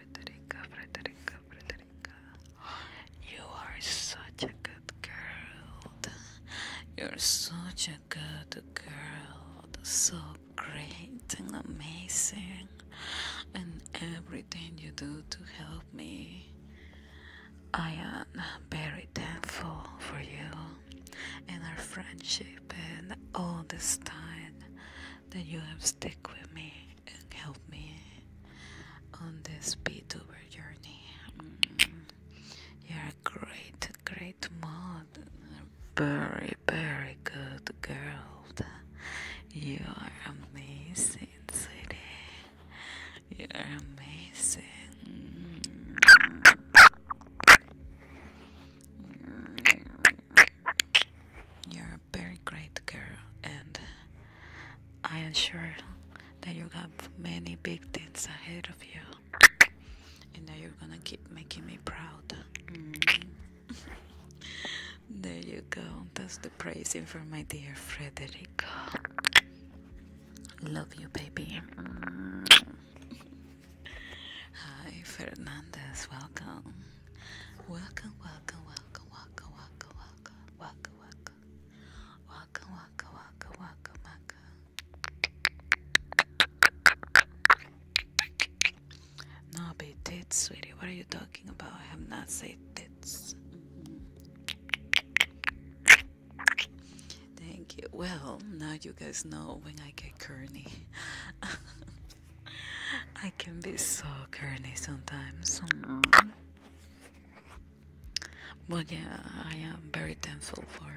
Frederica, Frederica, Frederica. You are such a good girl. You're such a good girl. So great and amazing. And everything you do to help me. I am very thankful for you and our friendship and all this time that you have stuck with me and helped me on this beat over journey. You're a great, great mod, very, very good girl. You are amazing, city. You are amazing. You're a very great girl, and I am sure that you have many big things ahead of you, and that you're gonna keep making me proud. Mm-hmm. there you go. That's the praising for my dear Frederico. Love you, baby. Mm-hmm. Hi, Fernandez. Welcome. Welcome, welcome, welcome, welcome, welcome, welcome, welcome, welcome. Welcome, welcome, welcome, welcome, welcome. No, be tits, sweetie. What are you talking about? I have not said tits. Thank you. Well, now you guys know when I get corny. I can be so curly sometimes. But yeah, I am very thankful for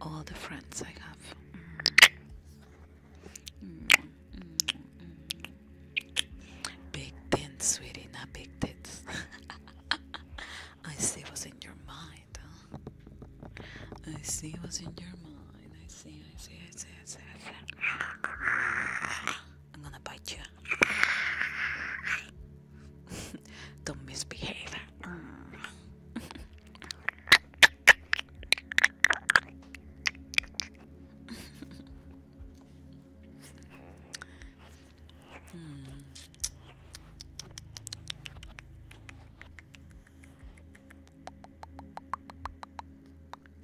all the friends I have. Big tits, sweetie, not big tits. I see what's in your mind. I see what's in your mind. I see, I see, I see, I see, I see. I'm gonna bite you. Don't misbehave. Hmm.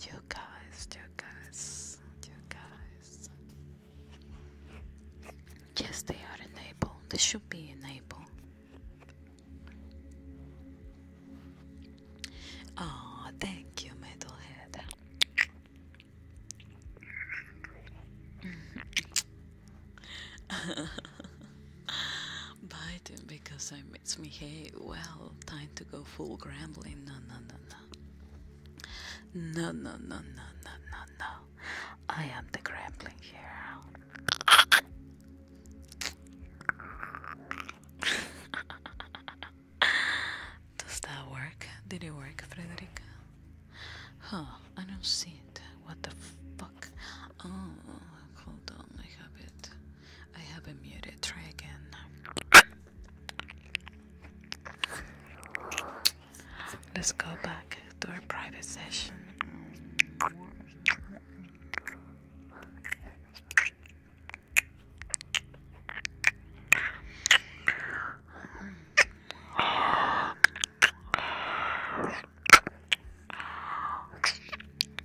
You guys, you guys, you guys. Yes, they are enabled. They should be enabled. Oh, thank you, metalhead. Biting because I'm it's me, hey, well, time to go full grambling. No, no, no, no. No, no, no, no, no, no, I am the grambling here. Does that work? Did it work, Frederica? Huh, I don't see it. What the fuck? Oh, hold on, I have I have a muted. Try again. Let's go back to our private session.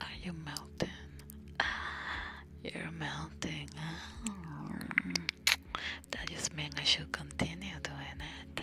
Are you melting? You're melting. That just means I should continue doing it.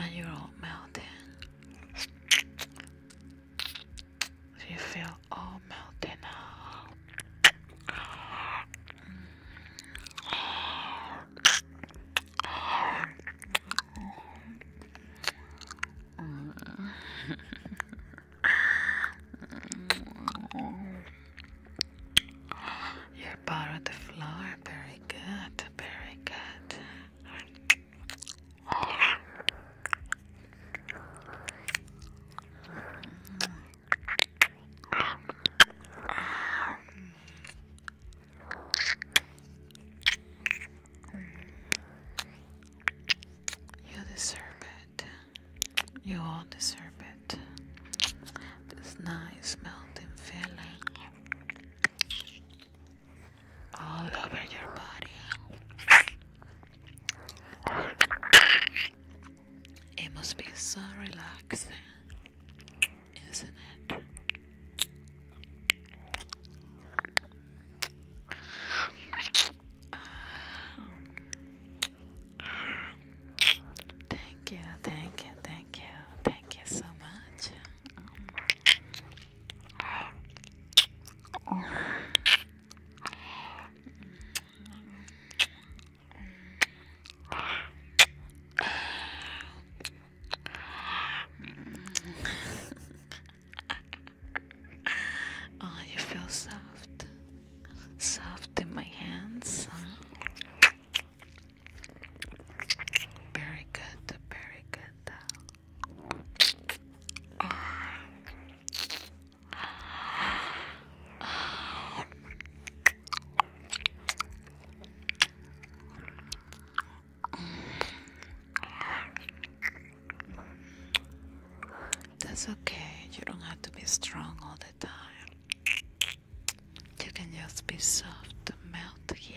and you're all melting. you feel all melting now. You're part of the floor. Very good. Very good. You deserve it. You all deserve it. This nice melting feeling all over your body. It must be so relaxing, isn't it? Thank you, thank you, thank you, thank you so much oh, you feel soft, soft in my hands. Very good, very good. that's okay. You don't have to be strong all the time. You can just be soft, melt here.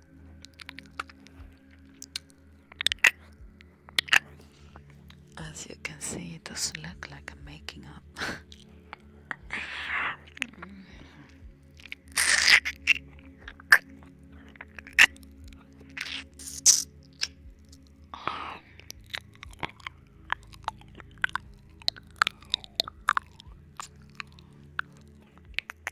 As you can see, it does look like I'm making up.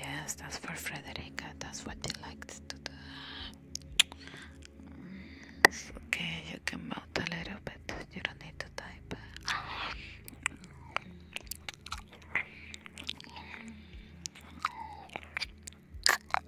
Yes, that's for Frederica. That's what she likes to do. okay, you can mount a little bit. You don't need to type.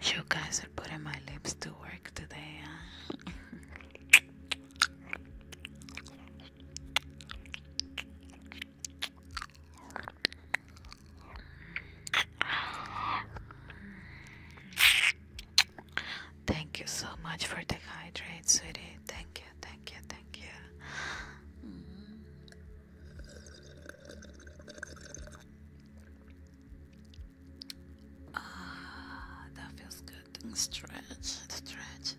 You guys are putting my lips to work today, Thank you so much for the hydrate, sweetie. Thank you, thank you, thank you. Ah, that feels good. Stretch, stretch.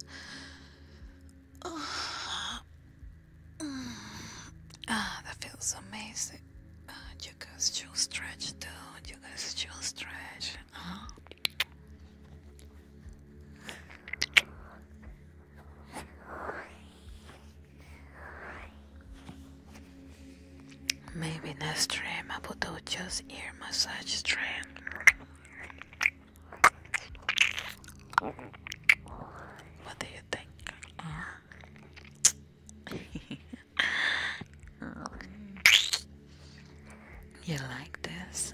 Ah, ah that feels amazing. Ah, you guys should stretch, dude. You guys should stretch. Uh-huh. Maybe next time I put do just ear massage trend. What do you think? you like this?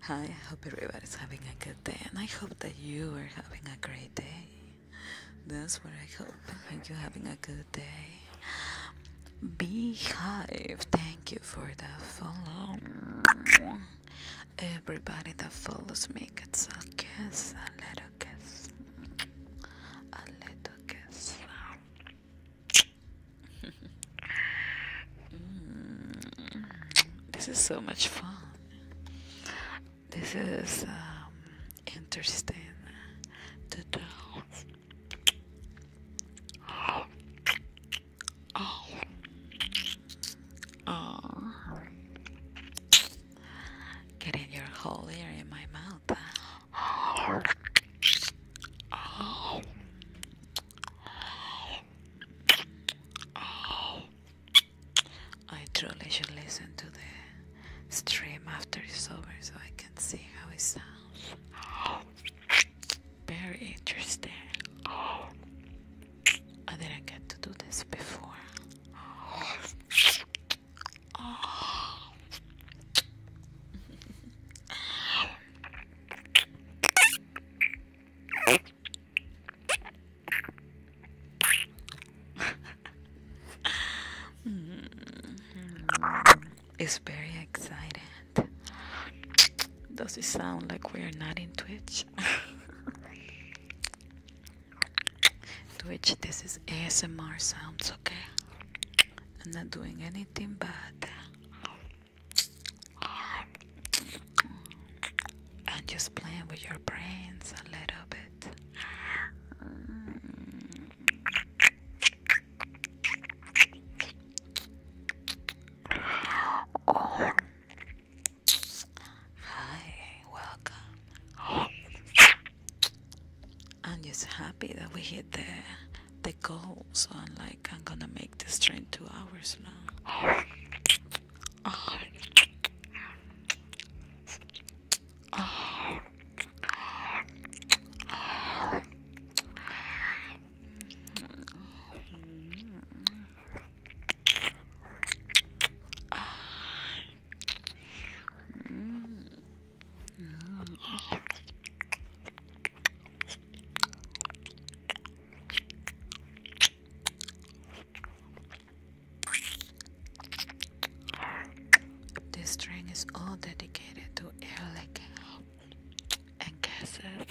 Hi, I hope everybody's having a good day, and I hope that you are having a great day. That's what I hope. I you're having a good day. Beehive, thank you for the follow. Everybody that follows me gets a kiss, a little kiss, a little kiss. Mm. this is so much fun. This is um, interesting to do. Oh. Oh. Oh. Getting your whole ear in my mouth. Oh. I truly should listen to the stream after it's over so I can see how it sounds. Very interesting. I didn't get to do this before. Mm-hmm. it's very exciting. Does it sound like we're not in Twitch? Twitch, this is ASMR sounds, okay? I'm not doing anything bad and just playing with your brains a little bit. Hi, welcome. I'm just happy that we hit the the goal, so I'm like I'm gonna make this train two hours long. This string is all dedicated to air licking and gases.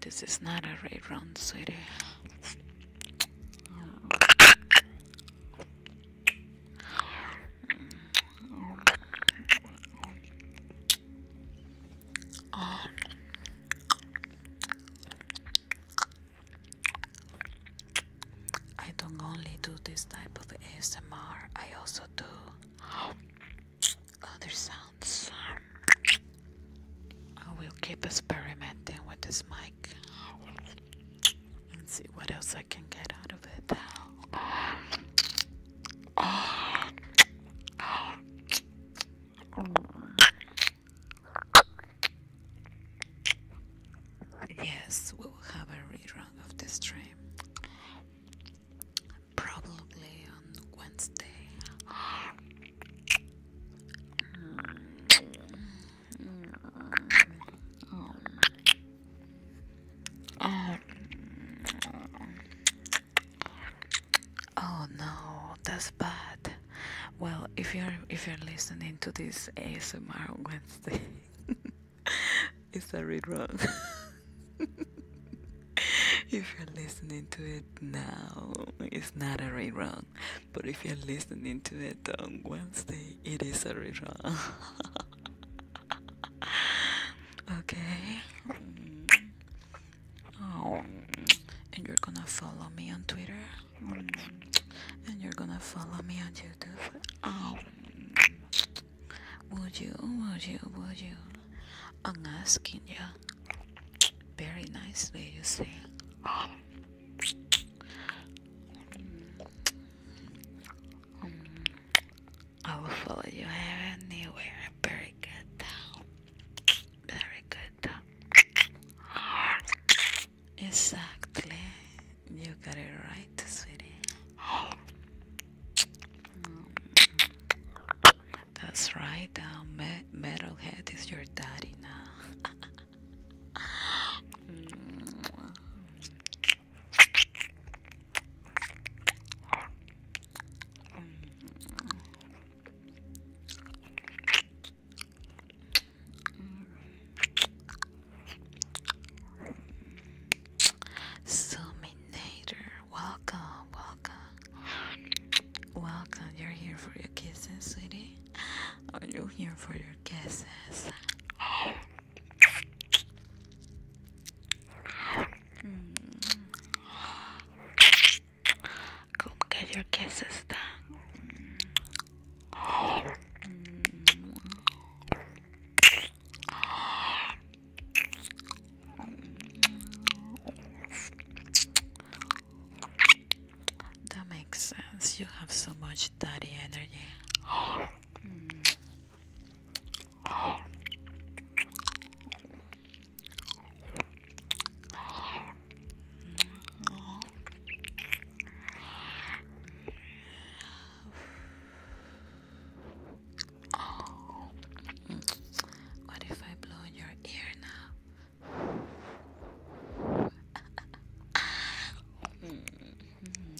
This is not a right round, sweetie. I don't only do this type of ASMR, I also do other sounds. I will keep experimenting with this mic. Let's see what else I can get out of it. Yes, we will have a rerun of this stream. Probably on Wednesday. Oh, oh. no, that's bad. Well, if you're if you're listening to this ASMR Wednesday, it's a run. if you're listening to it now, it's not a run. But if you're listening to it on Wednesday, it is a run. okay. Oh, and you're gonna follow me on Twitter, and you're gonna follow me on YouTube. Oh, would you? Would you? Would you? I'm asking you very nicely. You see. I will follow you anywhere. Very good. Very good. Exactly. You got it right, sweetie. That's right. Uh, me Metalhead is your daddy now. Mm. Suminator, welcome, welcome, welcome. You're here for your kisses, sweetie. Are you here for your kisses? Come get your kisses then. That makes sense. You have so much daddy energy. What if I blow in your ear now? Mm-hmm.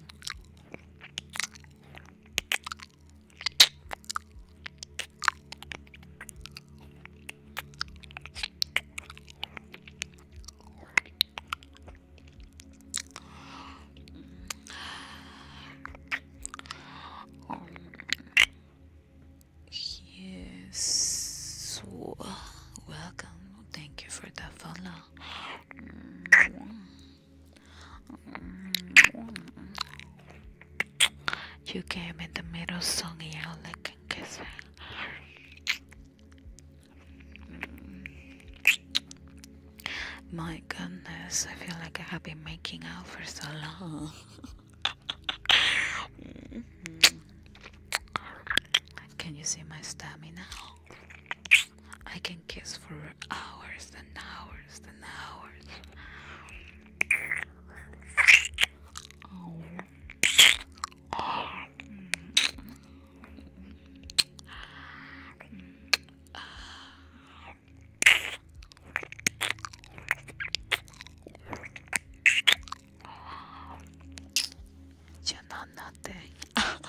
Yes. Welcome. Thank you for the follow. You gave me the middle song yeah, lick and kiss My goodness, I feel like I have been making out for so long. Can you see my stamina? I can kiss for hours and hours and hours. You know nothing.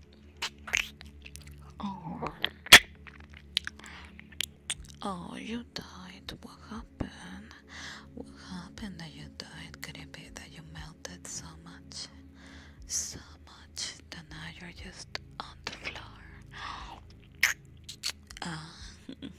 Oh. Oh, you died. What happened? What happened that you died? Could it be that you melted so much? So much that now you're just on the floor. Ah.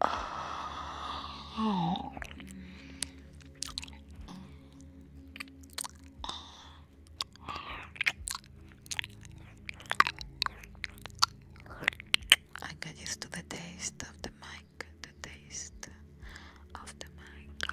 I get used to the taste of the mic, the taste of the mic.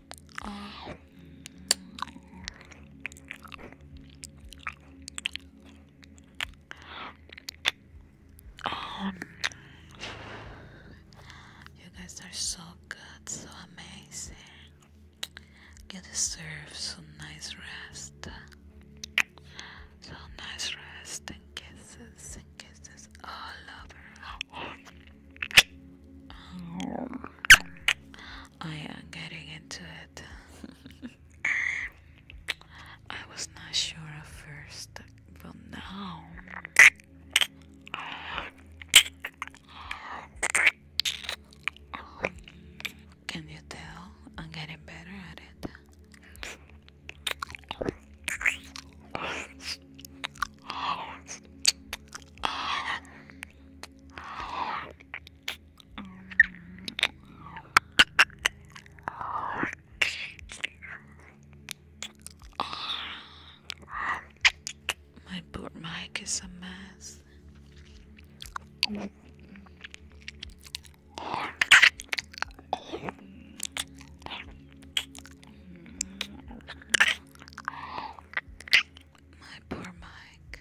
Um, you guys are so good, so amazing. You deserve some nice rest. So nice rest and kisses and kisses all over. I am getting into it. I was not sure at first, but now. Can you tell? I'm getting better at it. My poor mic is a mess. My poor mic.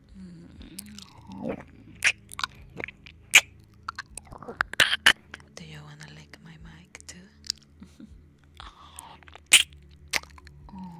Do you want to lick my mic too? oh.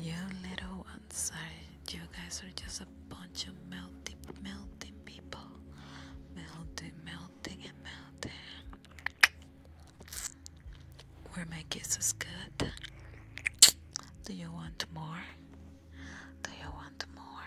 you little ones sorry. you guys are just a bunch of melting melting people melting melting and melting Where my kisses good do you want more do you want more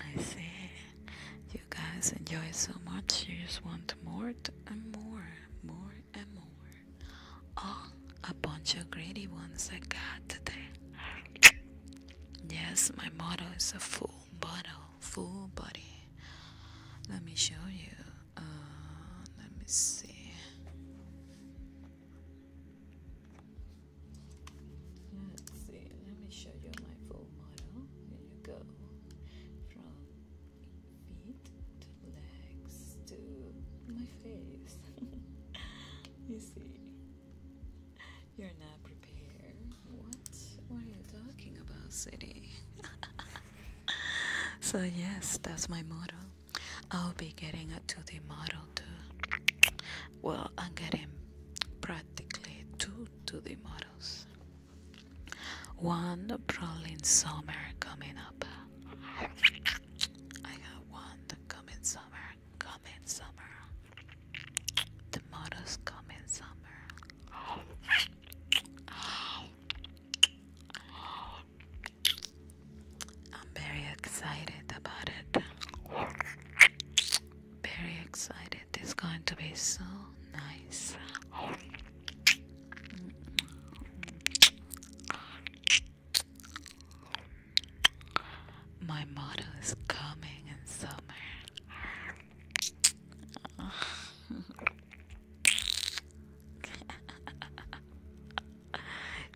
I see you guys enjoy so much, you just want more and more more and more. Oh, a bunch of greedy ones I got today. yes, my model is a full bottle, full body. Let me show you. Uh, let me see. let me show you my full model. Here you go feet to legs to my face. you see, you're not prepared. What? What are you talking about, city? so, yes, that's my model. I'll be getting a 2D model too. Well, I'm getting practically two 2D models. One brawling summer coming up. I got one coming summer, coming summer. The coming summer. I'm very excited about it. Very excited. It's going to be so nice. My motto is coming in summer.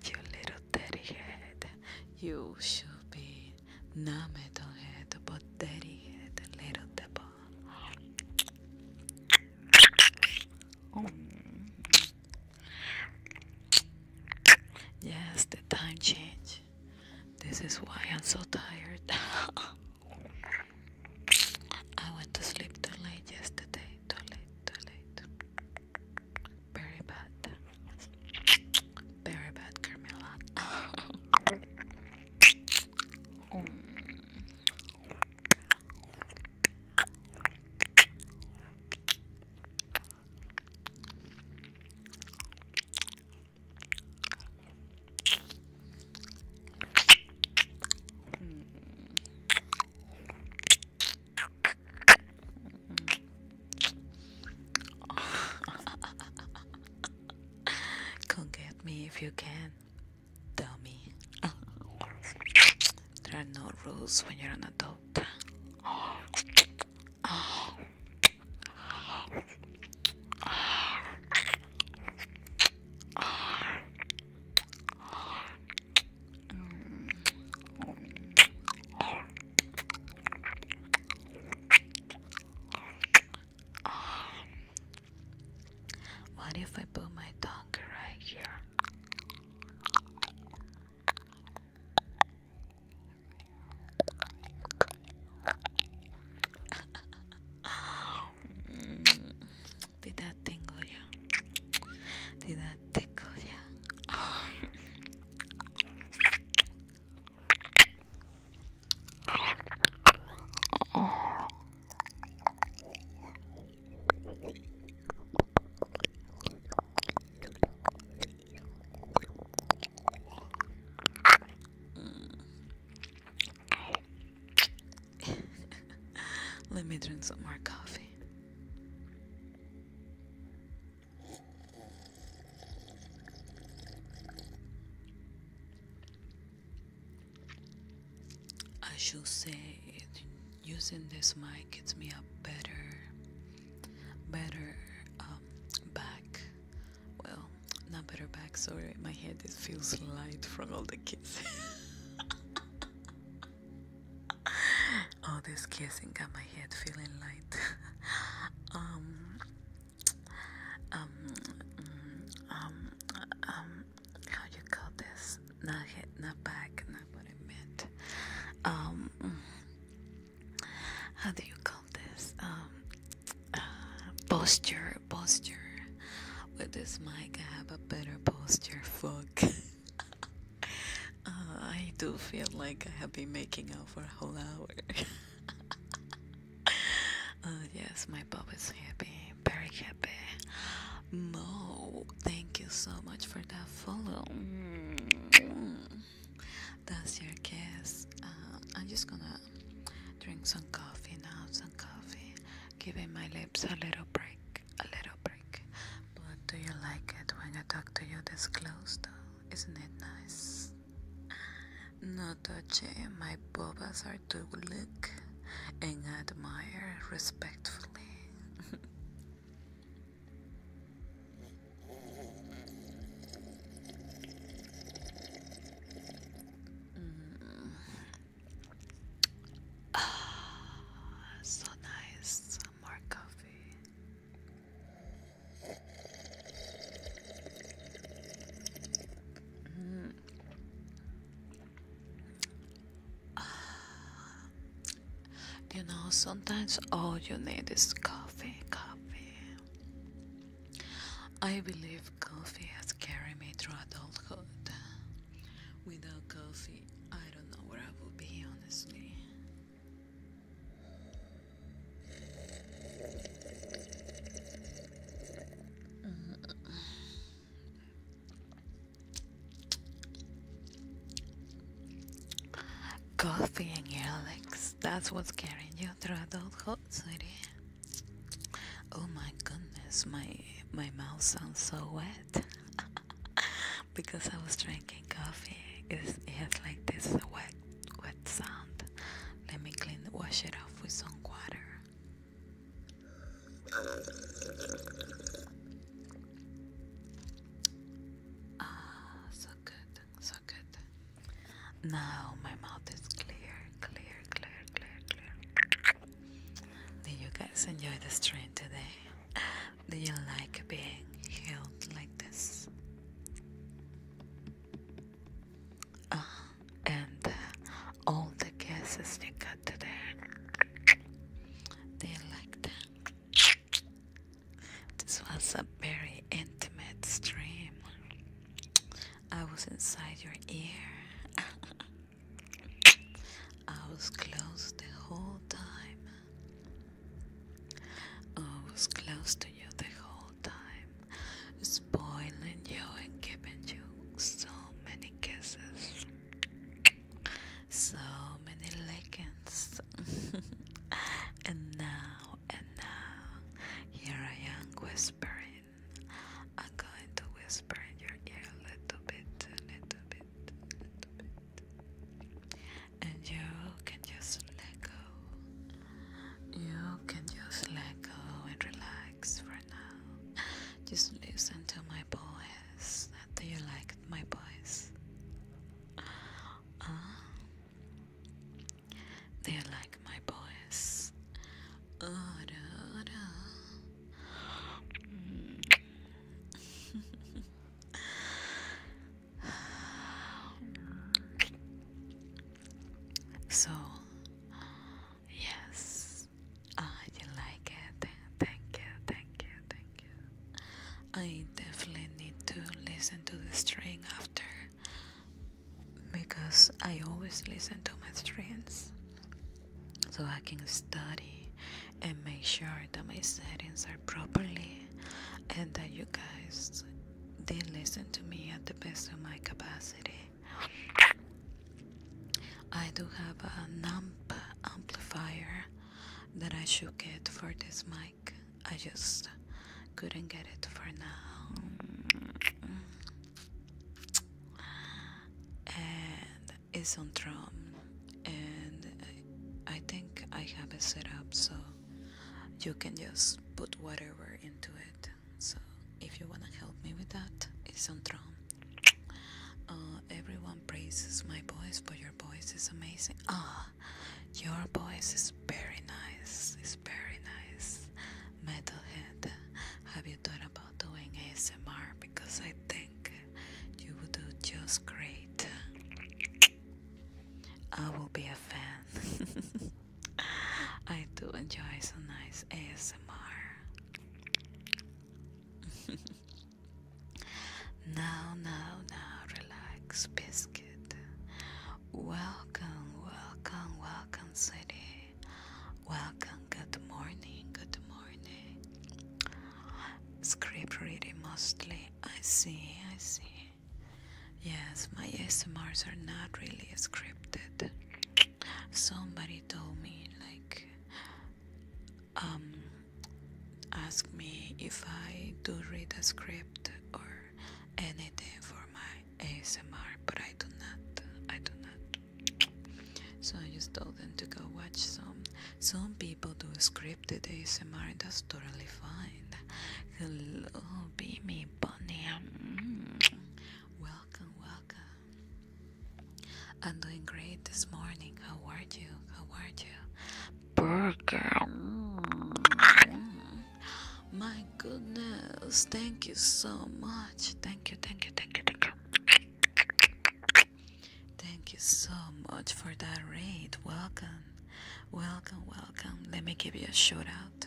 you little dirty head, you should be Nameton head, but dirty head, little devil. Oh. Yes, the time change. This is why I'm so tired. I went to sleep too late yesterday. Too late, too late. Very bad. Very bad, Carmela. oh. Come get me if you can dummy. There are no rules when you're an adult. What if I put my tongue right here? Did that tingle you? Did that tickle you? Let me drink some more coffee. I should say using this mic gets me a better better um, back well not better back sorry my head it feels light from all the kisses all this kissing got my head feeling light um um mm, mm, um uh, um how do you call this? Not hit, not back, not what I meant. Um, how do you call this? Um, uh, posture, posture. With this mic, I have a better posture. Fuck. Uh, I do feel like I have been making out for a whole hour. uh, yes, my bub is happy very happy. Mo, thank you so much for that follow. That's your kiss. Uh, I'm just gonna drink some coffee now, some coffee, giving my lips a little break, a little break. But do you like it when I talk to you this close though? Isn't it nice? No touchy, my boobas are to look and admire respectfully. ah, so nice, more coffee. Mm you know, sometimes all you need is coffee, coffee. I believe coffee has carried me through adulthood. Without coffee, I don't know where I would be, honestly. Coffee and your That's what's carrying you through adulthood, sweetie. Oh my goodness, my my mouth sounds so wet because I was drinking coffee. It's, it has like this wet wet sound. Let me clean wash it off with some water. Ah, so good, so good. Now my mouth is clear, clear, clear, clear, clear. Did you guys enjoy the stream today? Do you like being held like this? Ah, uh, and all the guesses you got today they like that. This was a very intimate stream. I was inside your ear. I was close the whole time. I was close to you the whole time, spoiling you and giving you so many kisses so many legends, and now and now here I am whispering I'm going to whisper in your ear a little bit a little bit a little bit and you can just let go you can just let go and relax for now just listen to my voice do you like my voice? do you like my voice? so, yes, yes. like it. Thank you, thank you, thank you. I definitely need to listen to the string after because I always listen to my strings so I can study and make sure that my settings are properly and that you guys did listen to me at the best of my capacity. I do have a NAMP amplifier that I should get for this mic. I just couldn't get it for now. And it's on drum, and I think I have it set up so you can just put whatever into it. So if you wanna help me with that, it's on drum. Uh, everyone praises my voice, but your voice is amazing. Ah, your voice is very nice. It's very nice. Metalhead, have you thought about doing ASMR? Because I think you would do just great. I will be a fan. I do enjoy some nice ASMR. Now, now, now, relax, biscuit. Welcome, welcome, welcome, city. Welcome, good morning, good morning. Script reading mostly. I see, I see. Yes, my SMRs are not really scripted. Somebody told me, like, um, ask me if I do read a script or anything for my ASMR, but I do not. I do not. So I just told them to go watch some. Some people do scripted ASMR, that's totally fine. Hello, Beamy Bunny. Mm. Welcome, welcome. I'm doing great this morning. How are you? How are you? Burger. Mm. My goodness. Thank you so much. Thank you, thank you, thank you, thank you. Thank you so much for that raid. Welcome. Welcome, welcome. Let me give you a shout out.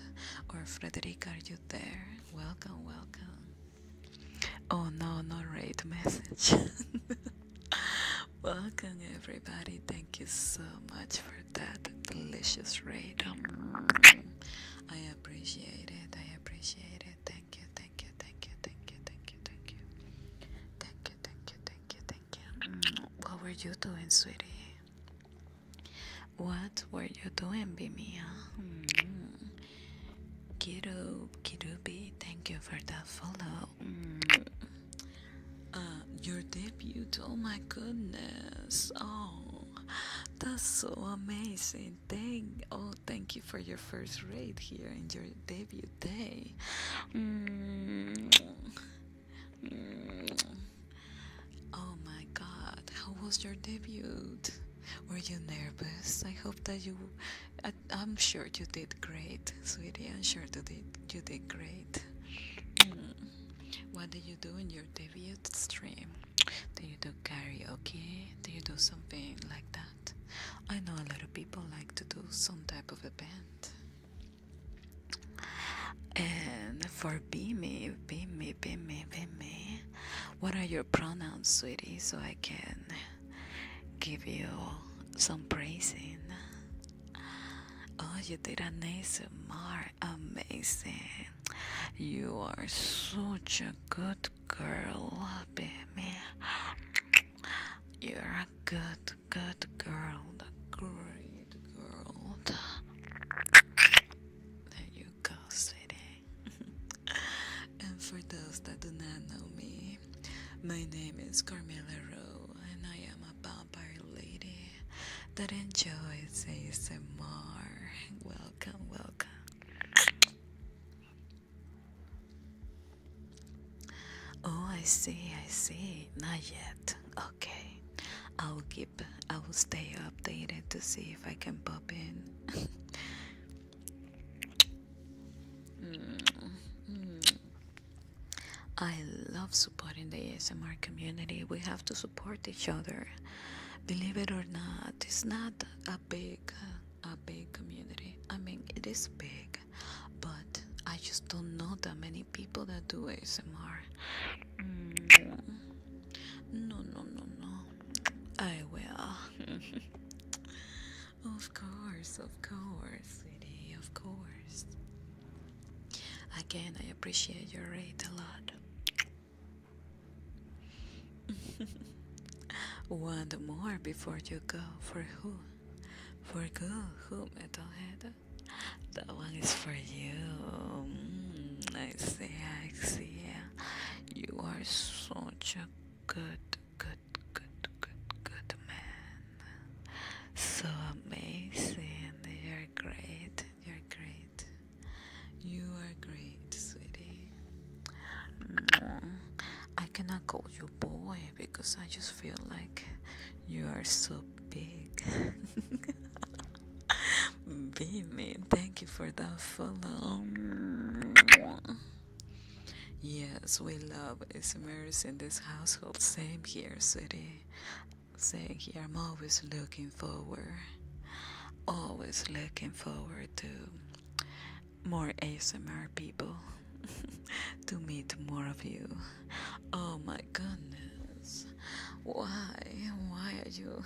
Or Frederick, are you there? Welcome, welcome. Oh no, no raid message. Welcome, everybody. Thank you so much for that delicious raid. Um, I appreciate it. I appreciate it. Thank you. Thank you. Thank you. Thank you. Thank you. Thank you. Thank you. Thank you. Thank you. Thank you. Mm, what were you doing, sweetie? What were you doing, Bimia? Mm -hmm. Kirub, Kirubi, thank you for that follow. Mm. Uh, your debut. Oh my goodness. Oh, that's so amazing. Thank, oh, thank you for your first raid here and your debut day. Mm. Mm. Oh my god, how was your debut? Were you nervous? I hope that you I, am sure you did great, sweetie. I'm sure you did, you did great. What did you do in your debut stream? Do you do karaoke? Do you do something like that? I know a lot of people like to do some type of event. And for Bimi, Bimi, Bimi, Bimi, what are your pronouns, sweetie, so I can give you some praising. Oh, you did an ASMR. Amazing. You are such a good girl, baby. You're a good, good girl. A great girl. There you go, sweetie. and for those that do not know me, my name is Carmela Rowe, and I am a vampire lady that enjoys ASMR. Welcome, welcome. Oh, I see, I see. Not yet. Okay, I'll keep. I will stay updated to see if I can pop in. -hmm. I love supporting the ASMR community. We have to support each other. Believe it or not, it's not a big a big community. I mean, it is big, but I just don't know that many people that do ASMR. Mm, no, no, no, no. I will. Of course, of course, sweetie, of course. Again, I appreciate your rate a lot. One more before you go. For who? For who? Who, Metalhead? That one is for you. Mm, I see, I see. You are such a good good, good, good, good man. So amazing. You're great. You're great. You are great, sweetie. Mm. I cannot call you boy because I just feel like you are so big. Be mean. thank you for the follow. Yes, we love Ismaris in this household. Same here, sweetie. Same here. I'm always looking forward. Always looking forward to more ASMR people. to meet more of you. Oh my goodness. Why? Why are you?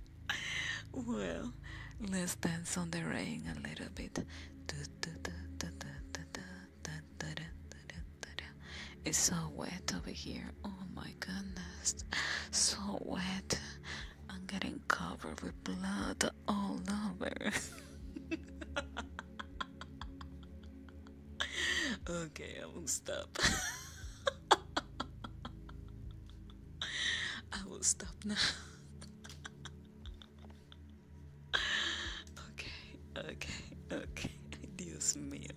well, let's dance on the rain a little bit. It's so wet over here. Oh my goodness. So wet. I'm getting covered with blood all over. okay, I will stop. I will stop now. okay, okay, okay. Dios mío.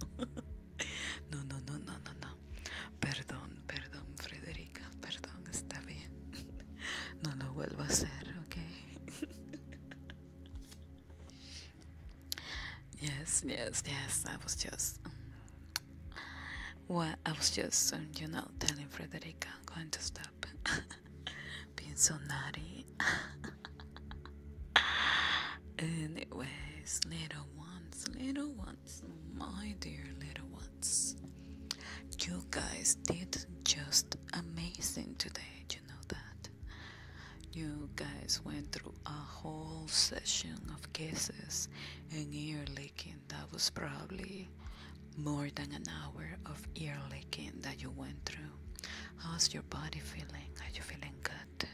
No, no, no, no, no, no. Perdón, perdón, Frederica. Perdón, está bien. No lo vuelvo a hacer, ok. Yes, yes, yes. I was just. Well, I was just, you know, telling Frederica I'm going to stop. being so naughty. Anyways, little ones, little ones, my dear little ones, you guys did just amazing today. You know that. You guys went through a whole session of kisses and ear licking. That was probably more than an hour of ear licking that you went through. How's your body feeling? Are you feeling good?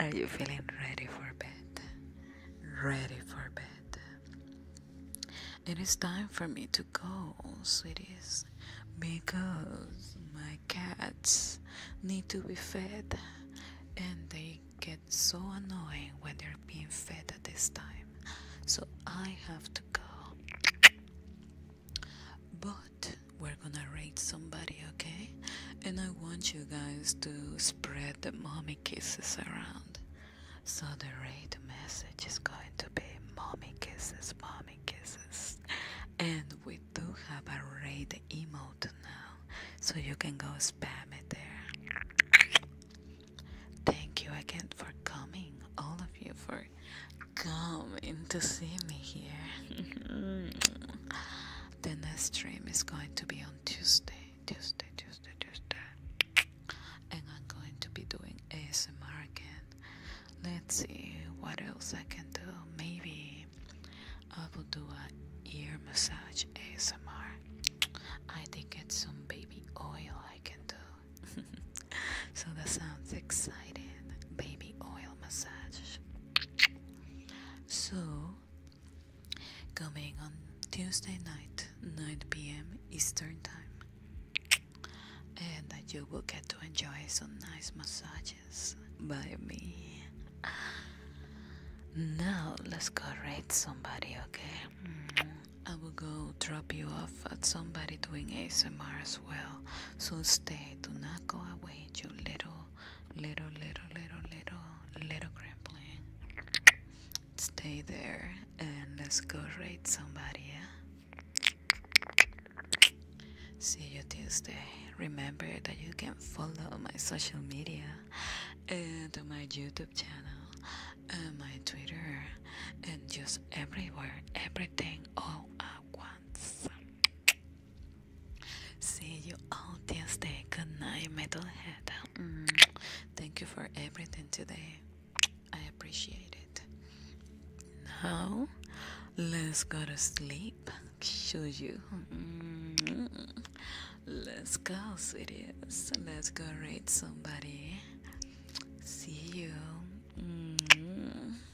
Are you feeling ready for bed? Ready for bed. It is time for me to go, sweeties, because my cats need to be fed and they get so annoying when they're being fed at this time. So I have to go. But we're gonna rate somebody, okay? And I want you guys to spread the mommy kisses around. So the rate message is going to be mommy kisses, mommy kisses. And we do have a rate emote now, so you can go spam it there. Thank you again for coming, all of you, for for coming to see me here. the next stream is going to be on Tuesday, Tuesday, Tuesday, Tuesday. And I'm going to be doing ASMR again. Let's see what else I can do. Maybe I will do a ear massage ASMR. I think it's some baby oil I can do. so that sounds exciting. Baby oil massage. So, coming on Tuesday night, 9 pm Eastern Time, and you will get to enjoy some nice massages by me. Now, let's go rate somebody, okay? Mm-hmm. I will go drop you off but somebody doing ASMR as well. So stay, do not go away, you little, little, little, little, little, little gremlin. Stay there and let's go raid somebody. See you Tuesday. Remember that you can follow my social media and to my YouTube channel and my Twitter and just everywhere, everything all at once. See you all Tuesday. Good night, Metalhead. Mm. Thank you for everything today. I appreciate it. Now, let's go to sleep. Should you. Mm. Let's go, sweeties. Let's go rate somebody. See you. Mm.